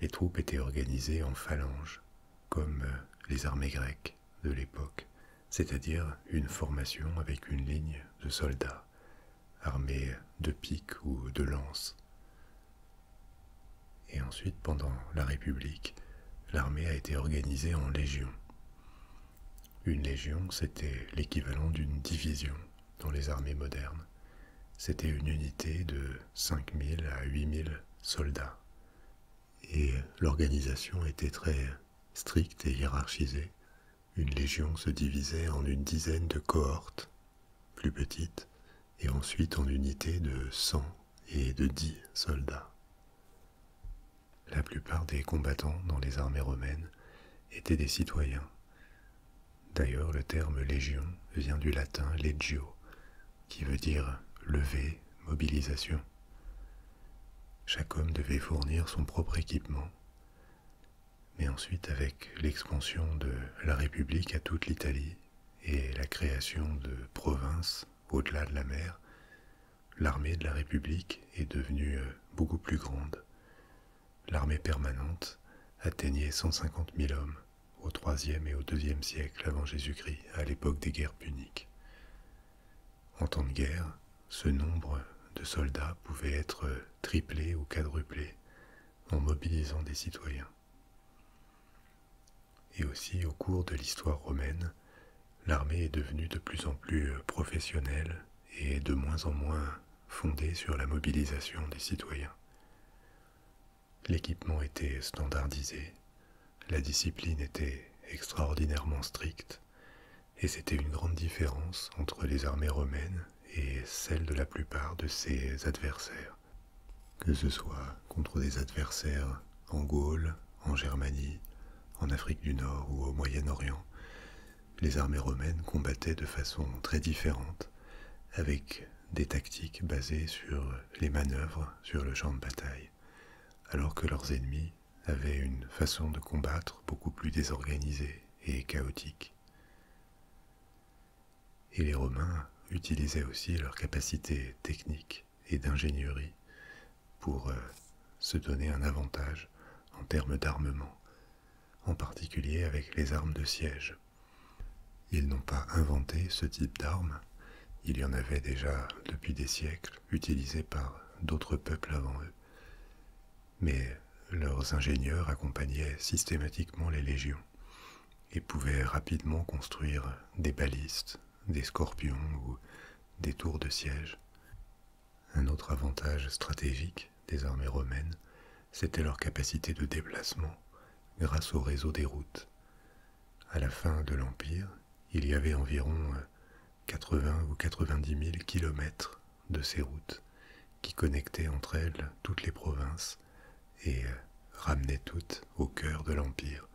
les troupes étaient organisées en phalanges, comme euh, les armées grecques de l'époque, c'est-à-dire une formation avec une ligne de soldats, armés de piques ou de lances, et ensuite, pendant la République, l'armée a été organisée en légions. Une légion, c'était l'équivalent d'une division dans les armées modernes. C'était une unité de 5000 à 8000 soldats. Et l'organisation était très stricte et hiérarchisée. Une légion se divisait en une dizaine de cohortes plus petite, et ensuite en unité de cent et de dix soldats. La plupart des combattants dans les armées romaines étaient des citoyens. D'ailleurs, le terme légion vient du latin legio, qui veut dire lever, mobilisation. Chaque homme devait fournir son propre équipement. Mais ensuite, avec l'expansion de la République à toute l'Italie, et la création de provinces au-delà de la mer, l'armée de la République est devenue euh, beaucoup plus grande. L'armée permanente atteignait 150 000 hommes au IIIe et au IIe siècle avant Jésus-Christ, à l'époque des guerres puniques. En temps de guerre, ce nombre de soldats pouvait être euh, triplé ou quadruplé en mobilisant des citoyens. Et aussi au cours de l'histoire romaine, l'armée est devenue de plus en plus euh, professionnelle et de moins en moins fondée sur la mobilisation des citoyens. L'équipement était standardisé, la discipline était extraordinairement stricte, et c'était une grande différence entre les armées romaines et celles de la plupart de ses adversaires que ce soit contre des adversaires en Gaule, en Germanie, en Afrique du Nord ou au Moyen-Orient. Les armées romaines combattaient de façon très différente, avec des tactiques basées sur les manœuvres sur le champ de bataille, alors que leurs ennemis avaient une façon de combattre beaucoup plus désorganisée et chaotique. Et les Romains utilisaient aussi leurs capacités techniques et d'ingénierie pour euh, se donner un avantage en termes d'armement, en particulier avec les armes de siège. Ils n'ont pas inventé ce type d'armes, il y en avait déjà depuis des siècles utilisées par d'autres peuples avant eux. Mais leurs ingénieurs accompagnaient systématiquement les légions et pouvaient rapidement construire des balistes, des scorpions ou des tours de siège. Un autre avantage stratégique des armées romaines, c'était leur capacité de déplacement grâce au réseau des routes. À la fin de l'Empire, il y avait environ 80 euh, ou 90 000 kilomètres de ces routes qui connectaient entre elles toutes les provinces et euh, ramenaient toutes au cœur de l'Empire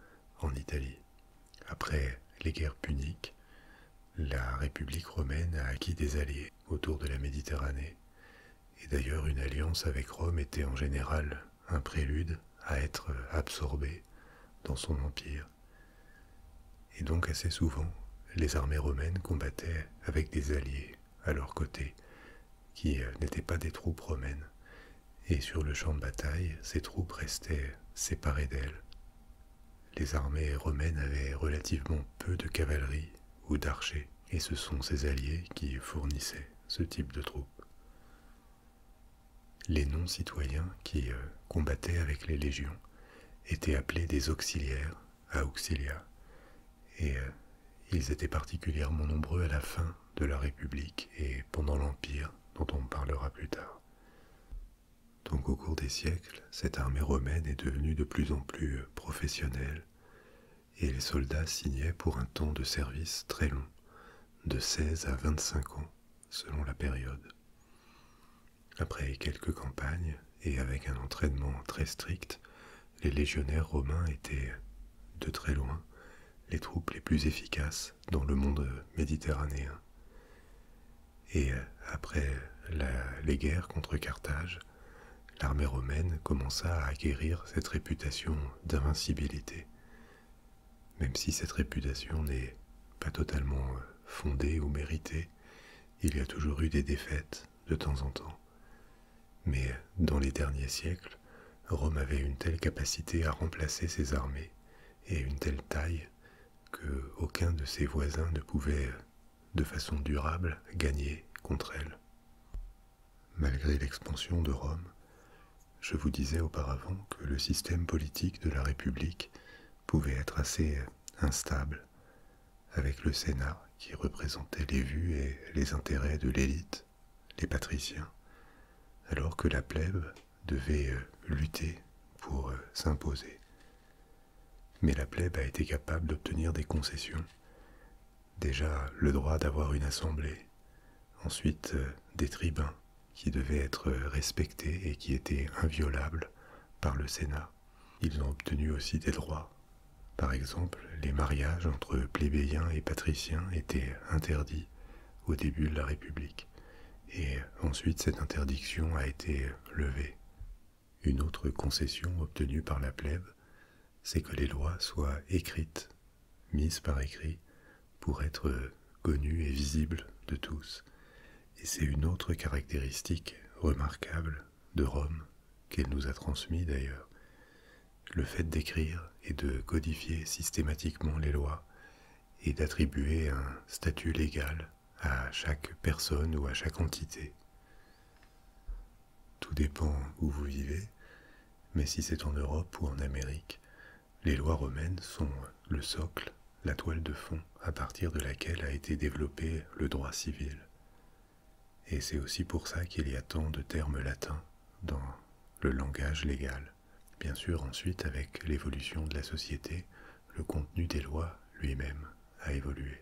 en Italie. Après les guerres puniques, la République romaine a acquis des alliés autour de la Méditerranée. Et d'ailleurs, une alliance avec Rome était en général un prélude à être euh, absorbée dans son empire. Et donc assez souvent, les armées romaines combattaient avec des alliés à leur côté, qui euh, n'étaient pas des troupes romaines, et sur le champ de bataille, ces troupes restaient séparées d'elles. Les armées romaines avaient relativement peu de cavalerie ou d'archers, et ce sont ces alliés qui fournissaient ce type de troupes. Les non-citoyens qui euh, combattaient avec les légions étaient appelés des auxiliaires à auxilia, et euh, ils étaient particulièrement nombreux à la fin de la République et pendant l'Empire dont on parlera plus tard. Donc au cours des siècles, cette armée romaine est devenue de plus en plus professionnelle et les soldats signaient pour un temps de service très long, de 16 à 25 ans selon la période. Après quelques campagnes et avec un entraînement très strict, les légionnaires romains étaient de très loin les troupes les plus efficaces dans le monde méditerranéen. Et euh, après les guerres contre Carthage, l'armée romaine commença à acquérir cette réputation d'invincibilité, même si cette réputation n'est pas totalement euh, fondée ou méritée, il y a toujours eu des défaites de temps en temps. Mais dans les derniers siècles, Rome avait une telle capacité à remplacer ses armées et une telle taille que aucun de ses voisins ne pouvait de façon durable gagner contre elle. Malgré l'expansion de Rome, je vous disais auparavant que le système politique de la République pouvait être assez instable, avec le Sénat qui représentait les vues et les intérêts de l'élite, les patriciens, alors que la plèbe devait euh, lutter pour euh, s'imposer. Mais la plèbe a été capable d'obtenir des concessions. Déjà le droit d'avoir une assemblée, ensuite euh, des tribuns qui devaient être respectés et qui étaient inviolables par le Sénat. Ils ont obtenu aussi des droits, par exemple les mariages entre plébéiens et patriciens étaient interdits au début de la République, et ensuite cette interdiction a été levée. Une autre concession obtenue par la plèbe, c'est que les lois soient écrites, mises par écrit, pour être connues et visibles de tous. Et c'est une autre caractéristique remarquable de Rome, qu'elle nous a transmise d'ailleurs, le fait d'écrire et de codifier systématiquement les lois et d'attribuer un statut légal à chaque personne ou à chaque entité. Tout dépend où vous vivez, mais si c'est en Europe ou en Amérique, les lois romaines sont le socle, la toile de fond à partir de laquelle a été développé le droit civil. Et c'est aussi pour ça qu'il y a tant de termes latins dans le langage légal. Bien sûr, ensuite, avec l'évolution de la société, le contenu des lois lui-même a évolué.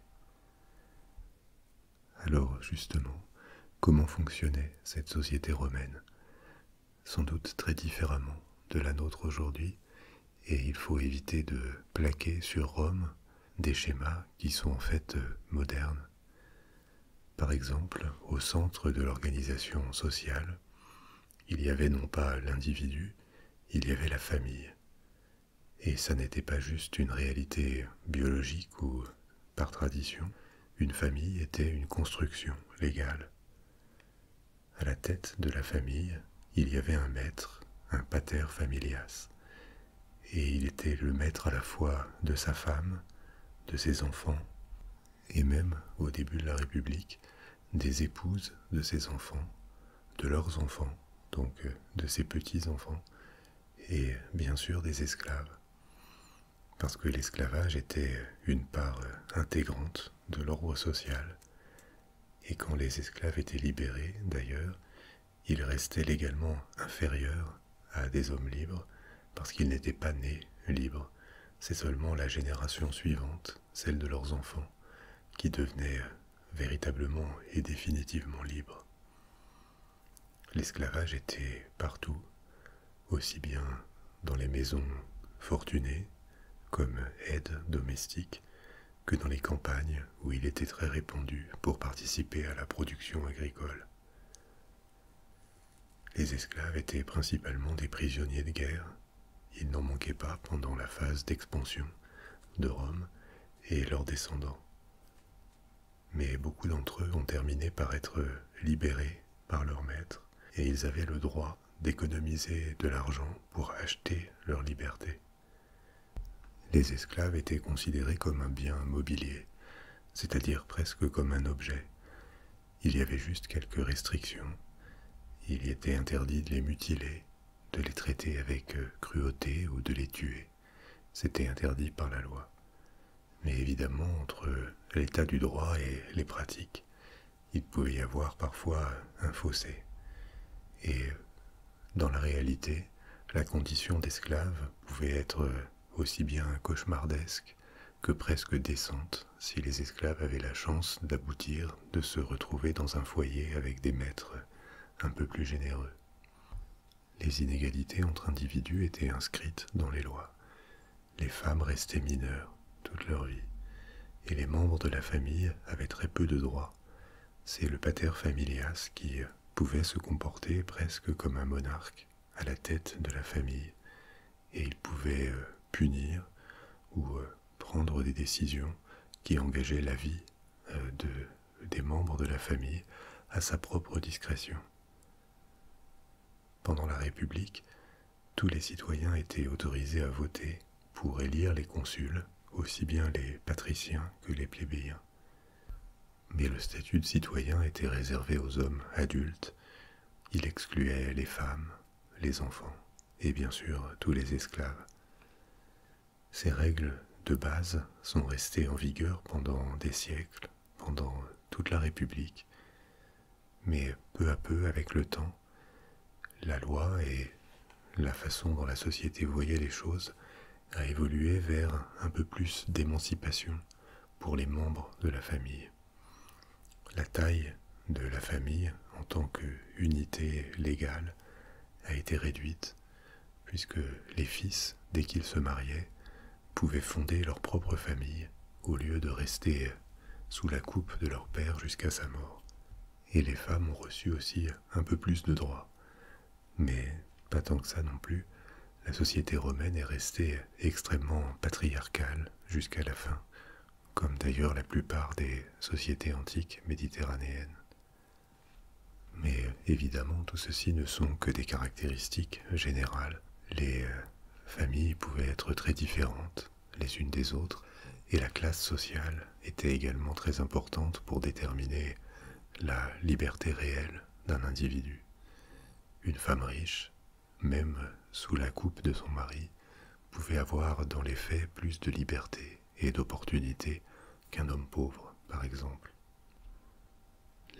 Alors, justement, comment fonctionnait cette société romaine Sans doute très différemment de la nôtre aujourd'hui, et il faut éviter de plaquer sur Rome des schémas qui sont en fait euh, modernes par exemple, au centre de l'organisation sociale, il y avait non pas l'individu, il y avait la famille. Et ça n'était pas juste une réalité biologique ou, par tradition, une famille était une construction légale. À la tête de la famille, il y avait un maître, un pater familias, et il était le maître à la fois de sa femme, de ses enfants, et même, au début de la République, des épouses de ses enfants, de leurs enfants, donc euh, de ses petits-enfants, et bien sûr des esclaves. Parce que l'esclavage était une part euh, intégrante de l'ordre social, et quand les esclaves étaient libérés, d'ailleurs, ils restaient légalement inférieurs à des hommes libres, parce qu'ils n'étaient pas nés libres. C'est seulement la génération suivante, celle de leurs enfants, qui devenait véritablement et définitivement libre. L'esclavage était partout, aussi bien dans les maisons fortunées, comme aides domestiques que dans les campagnes où il était très répandu pour participer à la production agricole. Les esclaves étaient principalement des prisonniers de guerre. ils n'en manquaient pas pendant la phase d'expansion de Rome et leurs descendants. Mais beaucoup d'entre eux ont terminé par être libérés par leurs maîtres, et ils avaient le droit d'économiser de l'argent pour acheter leur liberté. Les esclaves étaient considérés comme un bien mobilier, c'est-à-dire presque comme un objet. Il y avait juste quelques restrictions. Il était interdit de les mutiler, de les traiter avec euh, cruauté ou de les tuer. C'était interdit par la loi. Mais évidemment, entre euh, l'état du droit et les pratiques, il pouvait y avoir parfois un fossé. Et euh, dans la réalité, la condition d'esclave pouvait être aussi bien cauchemardesque que presque décente si les esclaves avaient la chance d'aboutir, de se retrouver dans un foyer avec des maîtres un peu plus généreux. Les inégalités entre individus étaient inscrites dans les lois. Les femmes restaient mineures toute leur vie, et les membres de la famille avaient très peu de droits. C'est le pater familias qui pouvait se comporter presque comme un monarque à la tête de la famille et il pouvait euh, punir ou euh, prendre des décisions qui engageaient la vie euh, des membres de la famille à sa propre discrétion. Pendant la République, tous les citoyens étaient autorisés à voter pour élire les consuls, aussi bien les patriciens que les plébéiens. Mais le statut de citoyen était réservé aux hommes adultes il excluait les femmes, les enfants et bien sûr tous les esclaves. Ces règles de base sont restées en vigueur pendant des siècles, pendant toute la République, mais peu à peu avec le temps, la loi et la façon dont la société voyait les choses a évolué vers un peu plus d'émancipation pour les membres de la famille. La taille de la famille en tant qu'unité légale a été réduite, puisque les fils, dès qu'ils se mariaient, pouvaient fonder leur propre famille au lieu de rester sous la coupe de leur père jusqu'à sa mort. Et les femmes ont reçu aussi un peu plus de droits, mais pas tant que ça non plus, la société romaine est restée extrêmement patriarcale jusqu'à la fin, comme d'ailleurs la plupart des sociétés antiques méditerranéennes. Mais évidemment, tout ceci ne sont que des caractéristiques générales. Les euh, familles pouvaient être très différentes les unes des autres, et la classe sociale était également très importante pour déterminer la liberté réelle d'un individu. Une femme riche même sous la coupe de son mari, pouvait avoir dans les faits plus de liberté et d'opportunités qu'un homme pauvre, par exemple.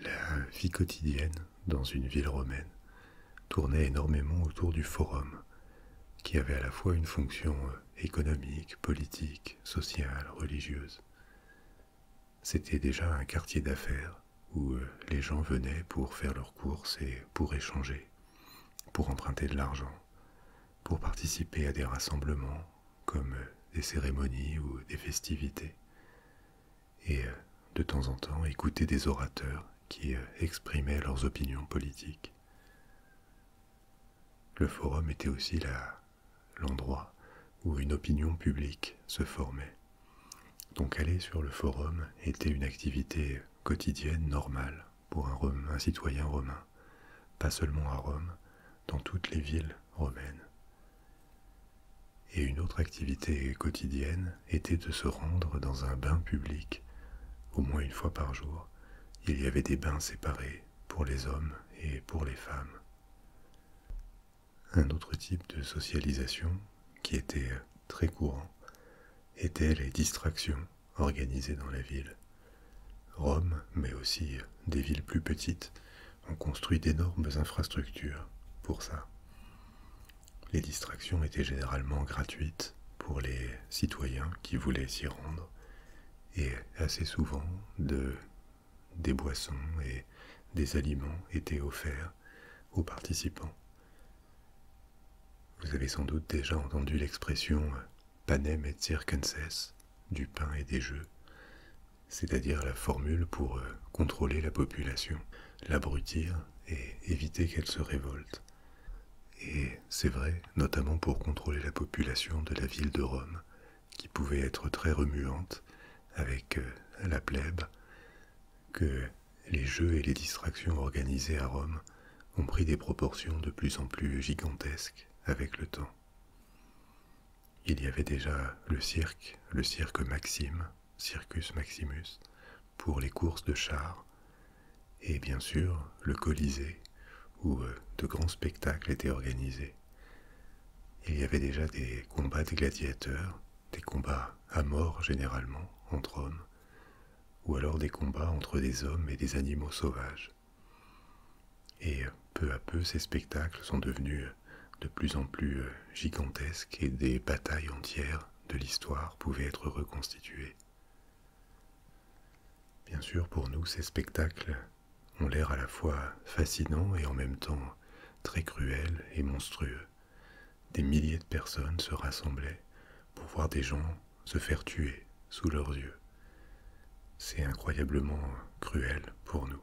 La vie quotidienne dans une ville romaine tournait énormément autour du forum, qui avait à la fois une fonction euh, économique, politique, sociale, religieuse. C'était déjà un quartier d'affaires où euh, les gens venaient pour faire leurs courses et pour échanger, pour emprunter de l'argent, pour participer à des rassemblements comme euh, des cérémonies ou des festivités, et euh, de temps en temps écouter des orateurs qui exprimaient leurs opinions politiques. Le forum était aussi l'endroit où une opinion publique se formait donc aller sur le forum était une activité quotidienne normale pour un, citoyen romain, pas seulement à Rome, dans toutes les villes romaines. Et une autre activité quotidienne était de se rendre dans un bain public, au moins une fois par jour. Il y avait des bains séparés pour les hommes et pour les femmes. Un autre type de socialisation qui étaient euh, très courants, étaient les distractions organisées dans la ville. Rome, mais aussi euh, des villes plus petites, ont construit d'énormes infrastructures pour ça. Les distractions étaient généralement gratuites pour les citoyens qui voulaient s'y rendre, et assez souvent des boissons et des aliments étaient offerts aux participants. Vous avez sans doute déjà entendu l'expression euh, panem et circenses du pain et des jeux, c'est-à-dire la formule pour euh, contrôler la population, l'abrutir et éviter qu'elle se révolte. Et c'est vrai, notamment pour contrôler la population de la ville de Rome, qui pouvait être très remuante avec euh, la plèbe, que les jeux et les distractions organisées à Rome ont pris des proportions de plus en plus gigantesques avec le temps. Il y avait déjà le cirque, le cirque Maxime, Circus Maximus, pour les courses de chars, et bien sûr le Colisée, où euh, de grands spectacles étaient organisés. Il y avait déjà des combats de gladiateurs, des combats à mort généralement entre hommes, ou alors des combats entre des hommes et des animaux sauvages. Et euh, peu à peu, ces spectacles sont devenus euh, de plus en plus euh, gigantesques et des batailles entières de l'histoire pouvaient être reconstituées. Bien sûr, pour nous, ces spectacles ont l'air à la fois fascinants et en même temps très cruels et monstrueux des milliers de personnes se rassemblaient pour voir des gens se faire tuer sous leurs yeux. C'est incroyablement cruel pour nous,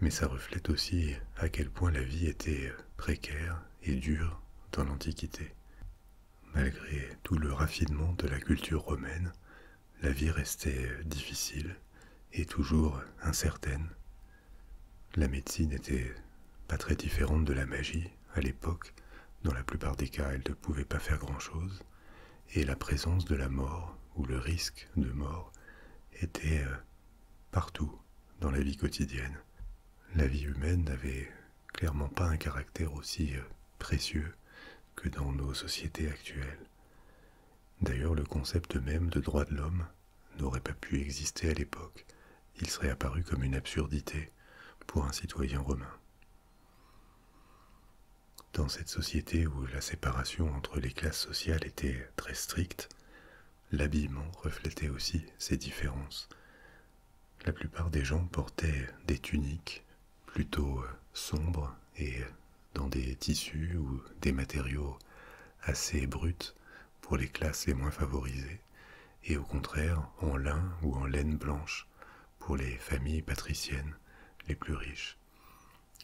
mais ça reflète aussi à quel point la vie était précaire et dure dans l'Antiquité. Malgré tout le raffinement de la culture romaine, la vie restait difficile et toujours incertaine, la médecine n'était pas très différente de la magie à l'époque. Dans la plupart des cas, elle ne pouvait pas faire grand-chose. Et la présence de la mort, ou le risque de mort, était euh, partout dans la vie quotidienne. La vie humaine n'avait clairement pas un caractère aussi euh, précieux que dans nos sociétés actuelles. D'ailleurs, le concept même de droit de l'homme n'aurait pas pu exister à l'époque, il serait apparu comme une absurdité pour un citoyen romain. Dans cette société où la séparation entre les classes sociales était très stricte, l'habillement reflétait aussi ces différences. La plupart des gens portaient des tuniques plutôt euh, sombres et euh, dans des tissus ou des matériaux assez bruts pour les classes les moins favorisées, et au contraire en lin ou en laine blanche pour les familles patriciennes les plus riches.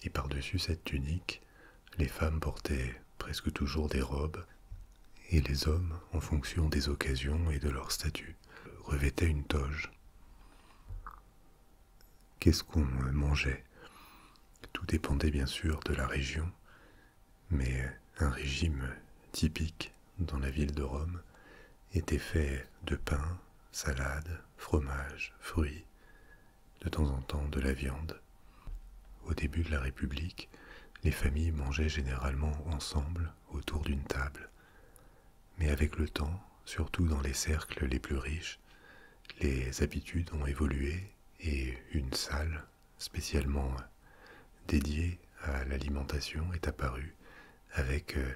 Et par-dessus cette tunique, les femmes portaient presque toujours des robes, et les hommes, en fonction des occasions et de leur statut, revêtaient une toge. Qu'est-ce qu'on mangeait Tout dépendait bien sûr de la région mais un régime typique dans la ville de Rome était fait de pain, salade, fromage, fruits, de temps en temps de la viande. Au début de la République, les familles mangeaient généralement ensemble autour d'une table. Mais avec le temps, surtout dans les cercles les plus riches, les habitudes ont évolué et une salle spécialement dédiée à l'alimentation est apparue avec euh,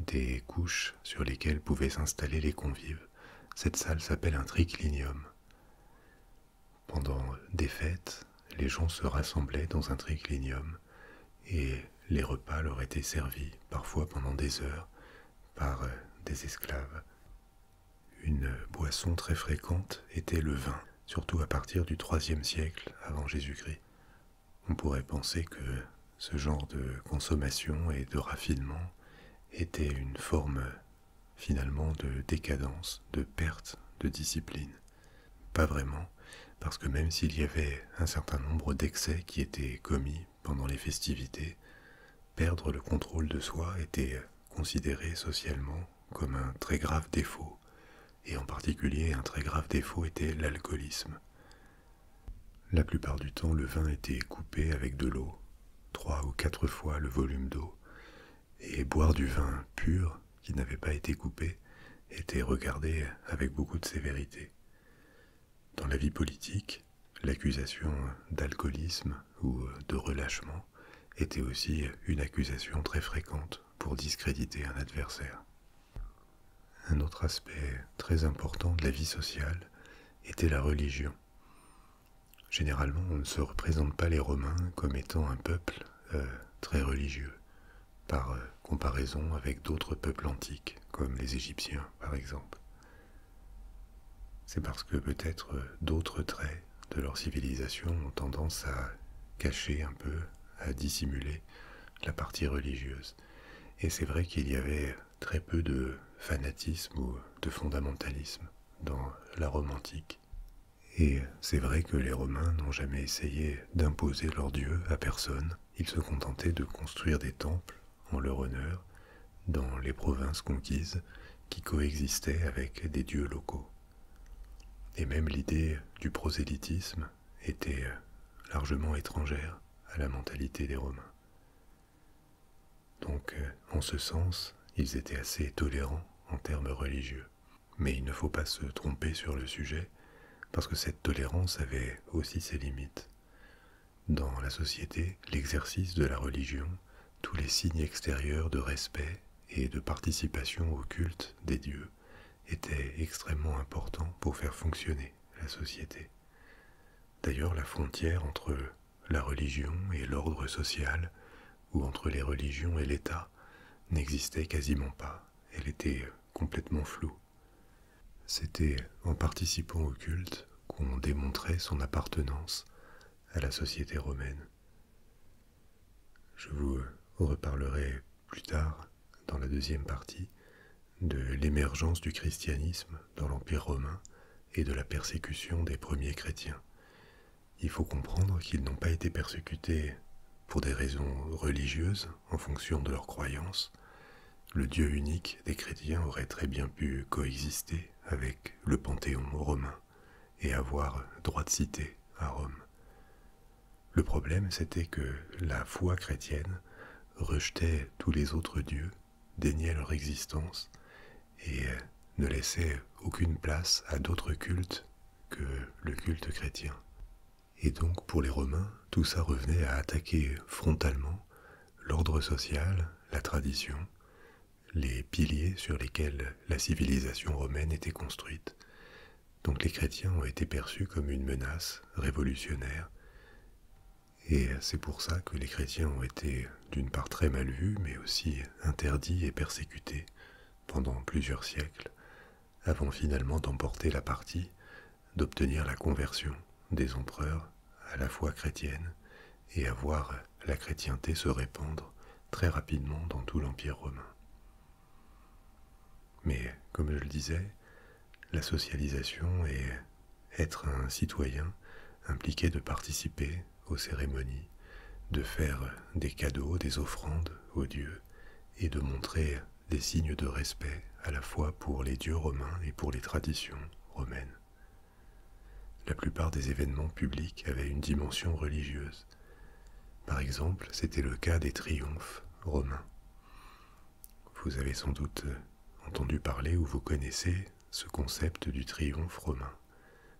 des couches sur lesquelles pouvaient s'installer les convives. Cette salle s'appelle un triclinium. Pendant des fêtes, les gens se rassemblaient dans un triclinium et les repas leur étaient servis, parfois pendant des heures, par euh, des esclaves. Une boisson très fréquente était le vin surtout à partir du IIIe siècle avant Jésus-Christ. On pourrait penser que ce genre de consommation et de raffinement était une forme finalement de décadence, de perte de discipline. Pas vraiment, parce que même s'il y avait un certain nombre d'excès qui étaient commis pendant les festivités, perdre le contrôle de soi était considéré socialement comme un très grave défaut, et en particulier un très grave défaut était l'alcoolisme. La plupart du temps, le vin était coupé avec de l'eau, trois ou quatre fois le volume d'eau, et boire du vin pur, qui n'avait pas été coupé, était regardé avec beaucoup de sévérité. Dans la vie politique, l'accusation d'alcoolisme ou de relâchement était aussi une accusation très fréquente pour discréditer un adversaire. Un autre aspect très important de la vie sociale était la religion. Généralement, on ne se représente pas les Romains comme étant un peuple euh, très religieux, par euh, comparaison avec d'autres peuples antiques, comme les Égyptiens par exemple. C'est parce que peut-être euh, d'autres traits de leur civilisation ont tendance à cacher un peu, à dissimuler la partie religieuse. Et c'est vrai qu'il y avait très peu de fanatisme ou de fondamentalisme dans la Rome antique. Et c'est vrai que les Romains n'ont jamais essayé d'imposer leur dieux à personne. Ils se contentaient de construire des temples en leur honneur dans les provinces conquises qui coexistaient avec des dieux locaux. Et même l'idée du prosélytisme était largement étrangère à la mentalité des Romains. Donc, euh, en ce sens, ils étaient assez tolérants en termes religieux. Mais il ne faut pas se tromper sur le sujet, parce que cette tolérance avait aussi ses limites. Dans la société, l'exercice de la religion, tous les signes extérieurs de respect et de participation au culte des dieux était extrêmement important pour faire fonctionner la société. D'ailleurs, la frontière entre la religion et l'ordre social, ou entre les religions et l'État, n'existait quasiment pas. Elle était complètement floue. C'était en participant au culte qu'on démontrait son appartenance à la société romaine. Je vous reparlerai plus tard, dans la deuxième partie, de l'émergence du christianisme dans l'Empire romain et de la persécution des premiers chrétiens. Il faut comprendre qu'ils n'ont pas été persécutés pour des raisons religieuses, en fonction de leurs croyances. Le Dieu unique des chrétiens aurait très bien pu coexister avec le panthéon romain et avoir droit de cité à Rome. Le problème, c'était que la foi chrétienne rejetait tous les autres dieux, déniait leur existence et euh, ne laissait aucune place à d'autres cultes que le culte chrétien. Et donc pour les Romains, tout ça revenait à attaquer frontalement l'ordre social, la tradition, les piliers sur lesquels la civilisation romaine était construite, donc les chrétiens ont été perçus comme une menace révolutionnaire. Et c'est pour ça que les chrétiens ont été d'une part très mal vus, mais aussi interdits et persécutés pendant plusieurs siècles, avant finalement d'emporter la partie, d'obtenir la conversion des empereurs à la foi chrétienne et à voir la chrétienté se répandre très rapidement dans tout l'Empire romain. Mais, comme je le disais, la socialisation est être un citoyen impliqué de participer aux cérémonies, de faire des cadeaux, des offrandes aux dieux, et de montrer des signes de respect à la fois pour les dieux romains et pour les traditions romaines. La plupart des événements publics avaient une dimension religieuse, par exemple, c'était le cas des triomphes romains. Vous avez sans doute euh, entendu parler ou vous connaissez ce concept du triomphe romain.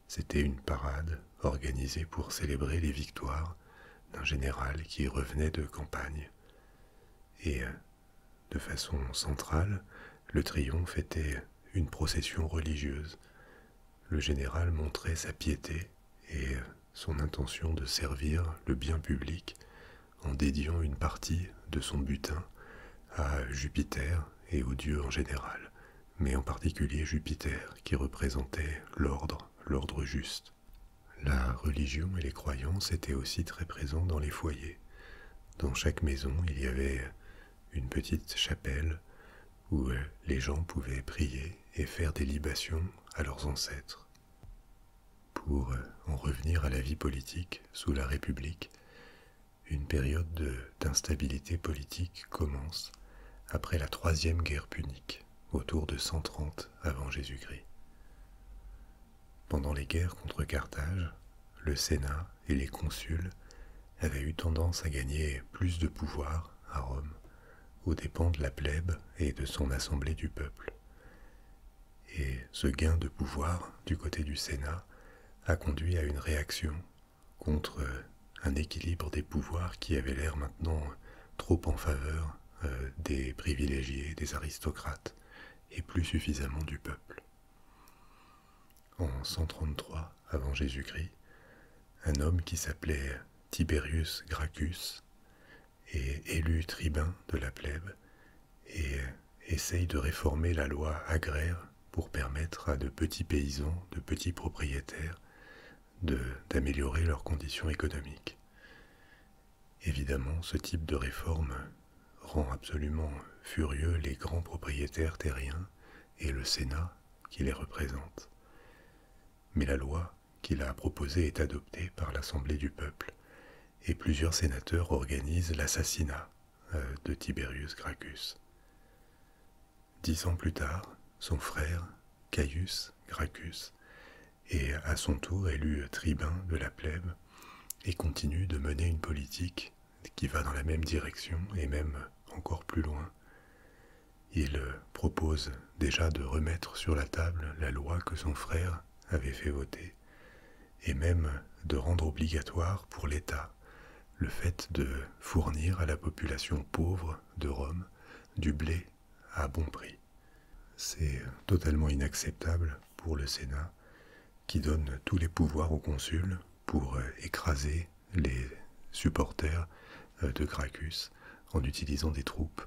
C'était une parade organisée pour célébrer les victoires d'un général qui revenait de campagne. Et euh, de façon centrale, le triomphe était une procession religieuse. Le général montrait sa piété et euh, son intention de servir le bien public en dédiant une partie de son butin à Jupiter et aux dieux en général, mais en particulier Jupiter qui représentait l'ordre, l'ordre juste. La religion et les croyances étaient aussi très présents dans les foyers. Dans chaque maison, il y avait une petite chapelle où euh, les gens pouvaient prier et faire des libations à leurs ancêtres. Pour euh, en revenir à la vie politique sous la République, une période d'instabilité politique commence après la troisième guerre punique, autour de 130 avant Jésus-Christ. Pendant les guerres contre Carthage, le Sénat et les consuls avaient eu tendance à gagner plus de pouvoir à Rome aux dépens de la plèbe et de son assemblée du peuple. Et ce gain de pouvoir du côté du Sénat a conduit à une réaction contre euh, un équilibre des pouvoirs qui avait l'air maintenant trop en faveur euh, des privilégiés, des aristocrates, et plus suffisamment du peuple. En 133 avant Jésus-Christ, un homme qui s'appelait Tiberius Gracchus et élu tribun de la plèbe, et euh, essaye de réformer la loi agraire pour permettre à de petits paysans, de petits propriétaires, d'améliorer leurs conditions économiques. Évidemment, ce type de réforme rend absolument furieux les grands propriétaires terriens et le Sénat qui les représente. Mais la loi qu'il a proposé est adopté par l'Assemblée du peuple, et plusieurs sénateurs organisent l'assassinat euh, de Tiberius Gracchus. Dix ans plus tard, son frère, Caius Gracchus, est à son tour élu tribun de la plèbe et continue de mener une politique qui va dans la même direction et même encore plus loin il propose déjà de remettre sur la table la loi que son frère avait fait voter, et même de rendre obligatoire pour l'État le fait de fournir à la population pauvre de Rome du blé à bon prix. C'est totalement inacceptable pour le Sénat, qui donne tous les pouvoirs au consul pour écraser les supporters de Gracchus en utilisant des troupes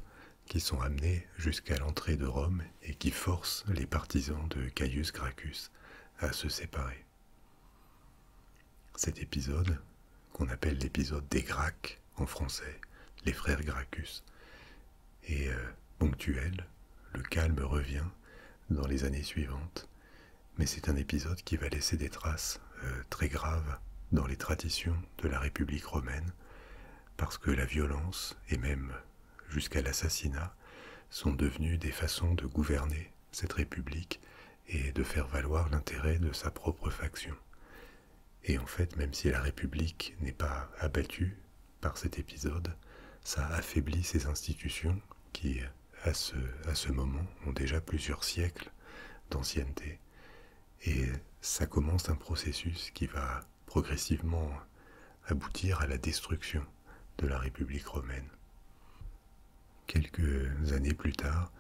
qui sont amenés jusqu'à l'entrée de Rome et qui forcent les partisans de Caius Gracchus à se séparer. Cet épisode, qu'on appelle l'épisode des Gracques en français, les frères Gracchus, est euh, ponctuel, le calme revient dans les années suivantes, mais c'est un épisode qui va laisser des traces euh, très graves dans les traditions de la République romaine parce que la violence, et même jusqu'à l'assassinat, sont devenues des façons de gouverner cette République et de faire valoir l'intérêt de sa propre faction. Et en fait, même si la République n'est pas abattue par cet épisode, ça affaiblit ses institutions qui, à à ce moment, ont déjà plusieurs siècles d'ancienneté. Et ça commence un processus qui va progressivement aboutir à la destruction de la République romaine. Quelques années plus tard,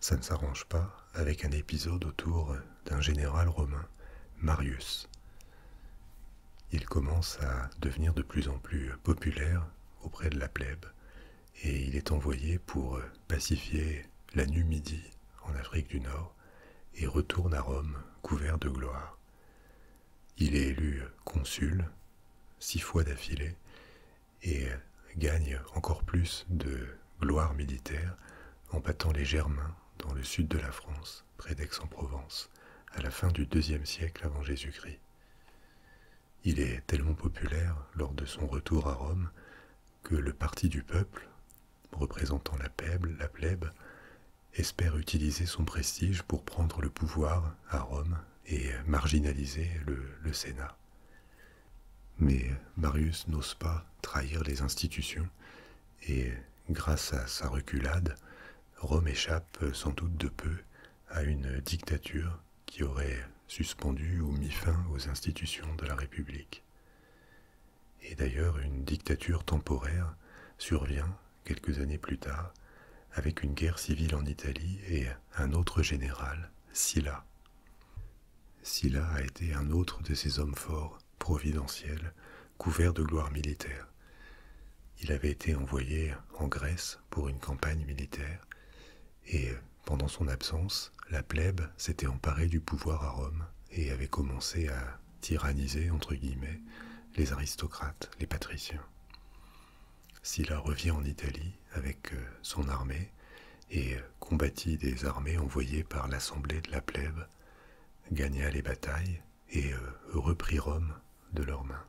ça ne s'arrange pas avec un épisode autour d'un général romain, Marius. Il commence à devenir de plus en plus populaire auprès de la plèbe et il est envoyé pour pacifié la nuit-midi en Afrique du Nord et retourne à Rome couvert de gloire. Il est élu consul six fois d'affilée et gagne encore plus de gloire militaire en battant les Germains dans le sud de la France, près d'Aix-en-Provence, à la fin du IIe siècle avant Jésus-Christ. Il est tellement populaire lors de son retour à Rome que le parti du peuple, représentant la plèbe, la plèbe, espère utiliser son prestige pour prendre le pouvoir à Rome et marginaliser le Sénat. Mais Marius n'ose pas trahir les institutions, et grâce à sa reculade, Rome échappe sans doute de peu à une dictature qui aurait suspendu ou mis fin aux institutions de la République. Et d'ailleurs, une dictature temporaire survient quelques années plus tard avec une guerre civile en Italie et un autre général, Silla. Silla a été un autre de ces hommes forts, providentiels, couverts de gloire militaire. Il avait été envoyé en Grèce pour une campagne militaire et pendant son absence, la plèbe s'était emparée du pouvoir à Rome et avait commencé à tyranniser, entre guillemets, les aristocrates, les patriciens. Sylla revient en Italie avec euh, son armée et euh, combattit des armées envoyées par l'assemblée de la plèbe, gagna les batailles et euh, reprit Rome de leurs mains.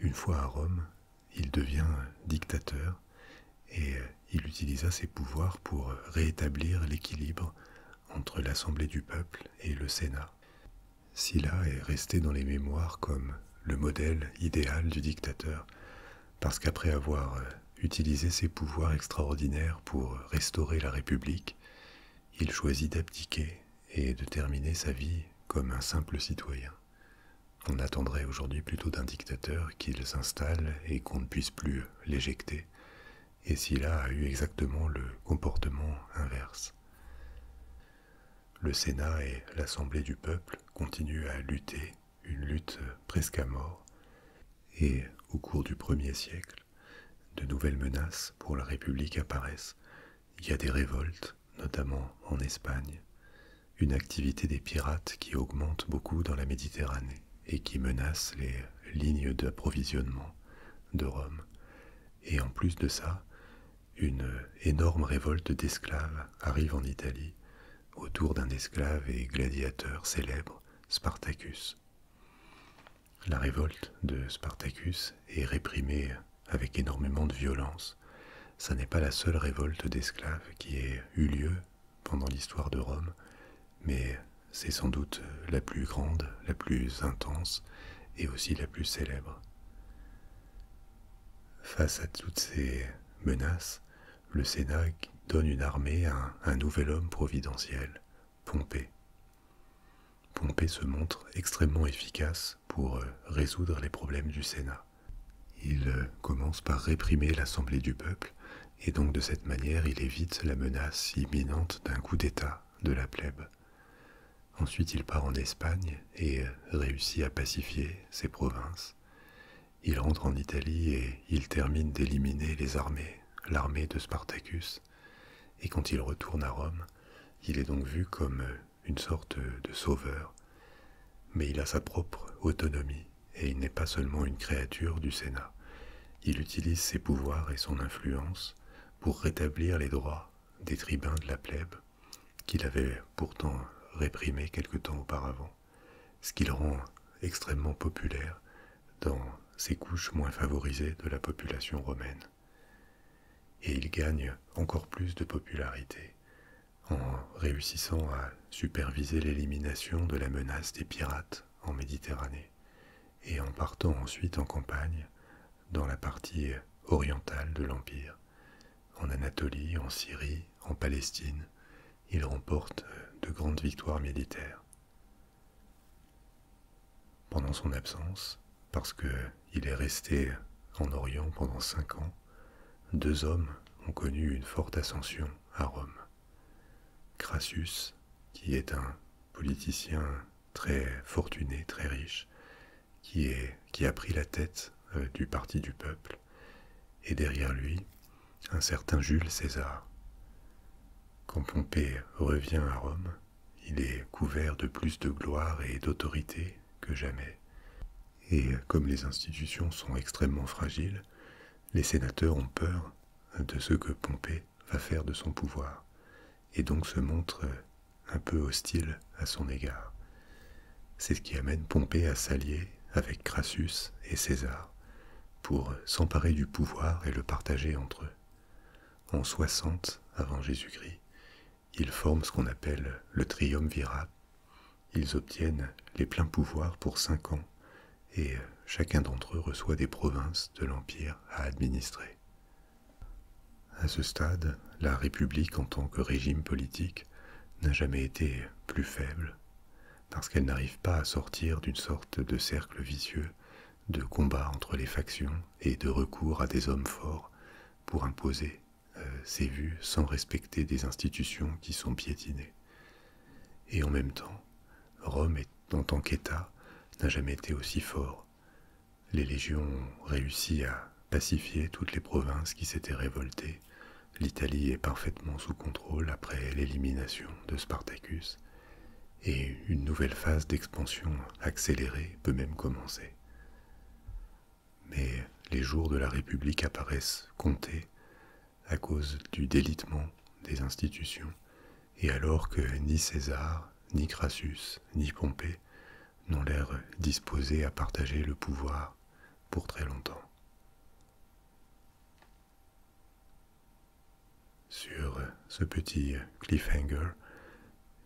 Une fois à Rome, il devient dictateur et euh, il utilisa ses pouvoirs pour euh, réétablir l'équilibre entre l'Assemblée du peuple et le Sénat. Silla est resté dans les mémoires comme le modèle idéal du dictateur, parce qu'après avoir euh, utilisé ses pouvoirs extraordinaires pour restaurer la République, il choisit d'abdiquer et de terminer sa vie comme un simple citoyen. On attendrait aujourd'hui plutôt d'un dictateur qu'il s'installe et qu'on ne puisse plus l'éjecter et Silla a eu exactement le comportement inverse. Le Sénat et l'Assemblée du peuple continuent à lutter, une lutte presque à mort, et au cours du premier siècle, de nouvelles menaces pour la République apparaissent. Il y a des révoltes, notamment en Espagne, une activité des pirates qui augmente beaucoup dans la Méditerranée et qui menace les lignes d'approvisionnement de Rome. Et en plus de ça, une énorme révolte d'esclaves arrive en Italie autour d'un esclave et gladiateur célèbre, Spartacus. La révolte de Spartacus est réprimée avec énormément de violence. Ce n'est pas la seule révolte d'esclaves qui ait eu lieu pendant l'histoire de Rome, mais c'est sans doute la plus grande, la plus intense et aussi la plus célèbre. Face à toutes ces menaces, le Sénat donne une armée à un nouvel homme providentiel, Pompée. Pompée se montre extrêmement efficace pour euh, résoudre les problèmes du Sénat. Il euh, commence par réprimer l'Assemblée du peuple et donc de cette manière il évite la menace imminente d'un coup d'État de la plèbe. Ensuite il part en Espagne et réussit à pacifier ses provinces. Il rentre en Italie et il termine d'éliminer les armées, l'armée de Spartacus, et quand il retourne à Rome, il est donc vu comme une sorte de sauveur, mais il a sa propre autonomie et il n'est pas seulement une créature du Sénat. Il utilise ses pouvoirs et son influence pour rétablir les droits des tribuns de la plèbe, qu'il avait pourtant réprimés quelque temps auparavant, ce qui le rend extrêmement populaire dans ces couches moins favorisées de la population romaine. Et il gagne encore plus de popularité en réussissant à superviser l'élimination de la menace des pirates en Méditerranée et en partant ensuite en campagne dans la partie orientale de l'Empire. En Anatolie, en Syrie, en Palestine, il remporte de grandes victoires militaires. Pendant son absence, parce qu'il est resté en Orient pendant cinq ans, deux hommes ont connu une forte ascension à Rome. Crassus, qui est un politicien très fortuné, très riche, qui, a pris la tête euh, du Parti du Peuple, et derrière lui, un certain Jules César. Quand Pompée revient à Rome, il est couvert de plus de gloire et d'autorité que jamais. Et comme les institutions sont extrêmement fragiles, les sénateurs ont peur de ce que Pompée va faire de son pouvoir, et donc se montre un peu hostile à son égard. C'est ce qui amène Pompée à s'allier avec Crassus et César pour s'emparer du pouvoir et le partager entre eux. En 60 avant Jésus-Christ, ils forment ce qu'on appelle le triumvirat. Ils obtiennent les pleins pouvoirs pour cinq ans et euh, chacun d'entre eux reçoit des provinces de l'Empire à administrer. À ce stade, la République en tant que régime politique n'a jamais été plus faible, parce qu'elle n'arrive pas à sortir d'une sorte de cercle vicieux de combat entre les factions et de recours à des hommes forts pour imposer euh, ses vues sans respecter des institutions qui sont piétinées. Et en même temps, Rome, en tant qu'État, n'a jamais été aussi fort. Les légions ont réussi à pacifier toutes les provinces qui s'étaient révoltées. L'Italie est parfaitement sous contrôle après l'élimination de Spartacus, et une nouvelle phase d'expansion accélérée peut même commencer. Mais les jours de la République apparaissent comptés à cause du délitement des institutions, et alors que ni César, ni Crassus, ni Pompée n'ont l'air disposés à partager le pouvoir pour très longtemps. Sur ce petit cliffhanger,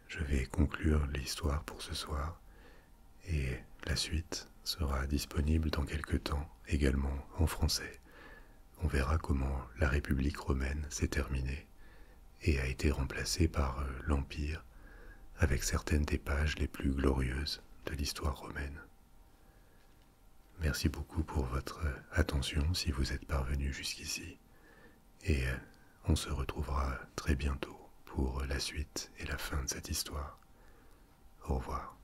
je vais conclure l'histoire pour ce soir et la suite sera disponible dans quelques temps également en français on verra comment la République romaine s'est terminée et a été remplacée par euh, l'Empire avec certaines des pages les plus glorieuses de l'histoire romaine. Merci beaucoup pour votre euh, attention si vous êtes parvenu jusqu'ici et euh, on se retrouvera très bientôt pour la suite et la fin de cette histoire. Au revoir.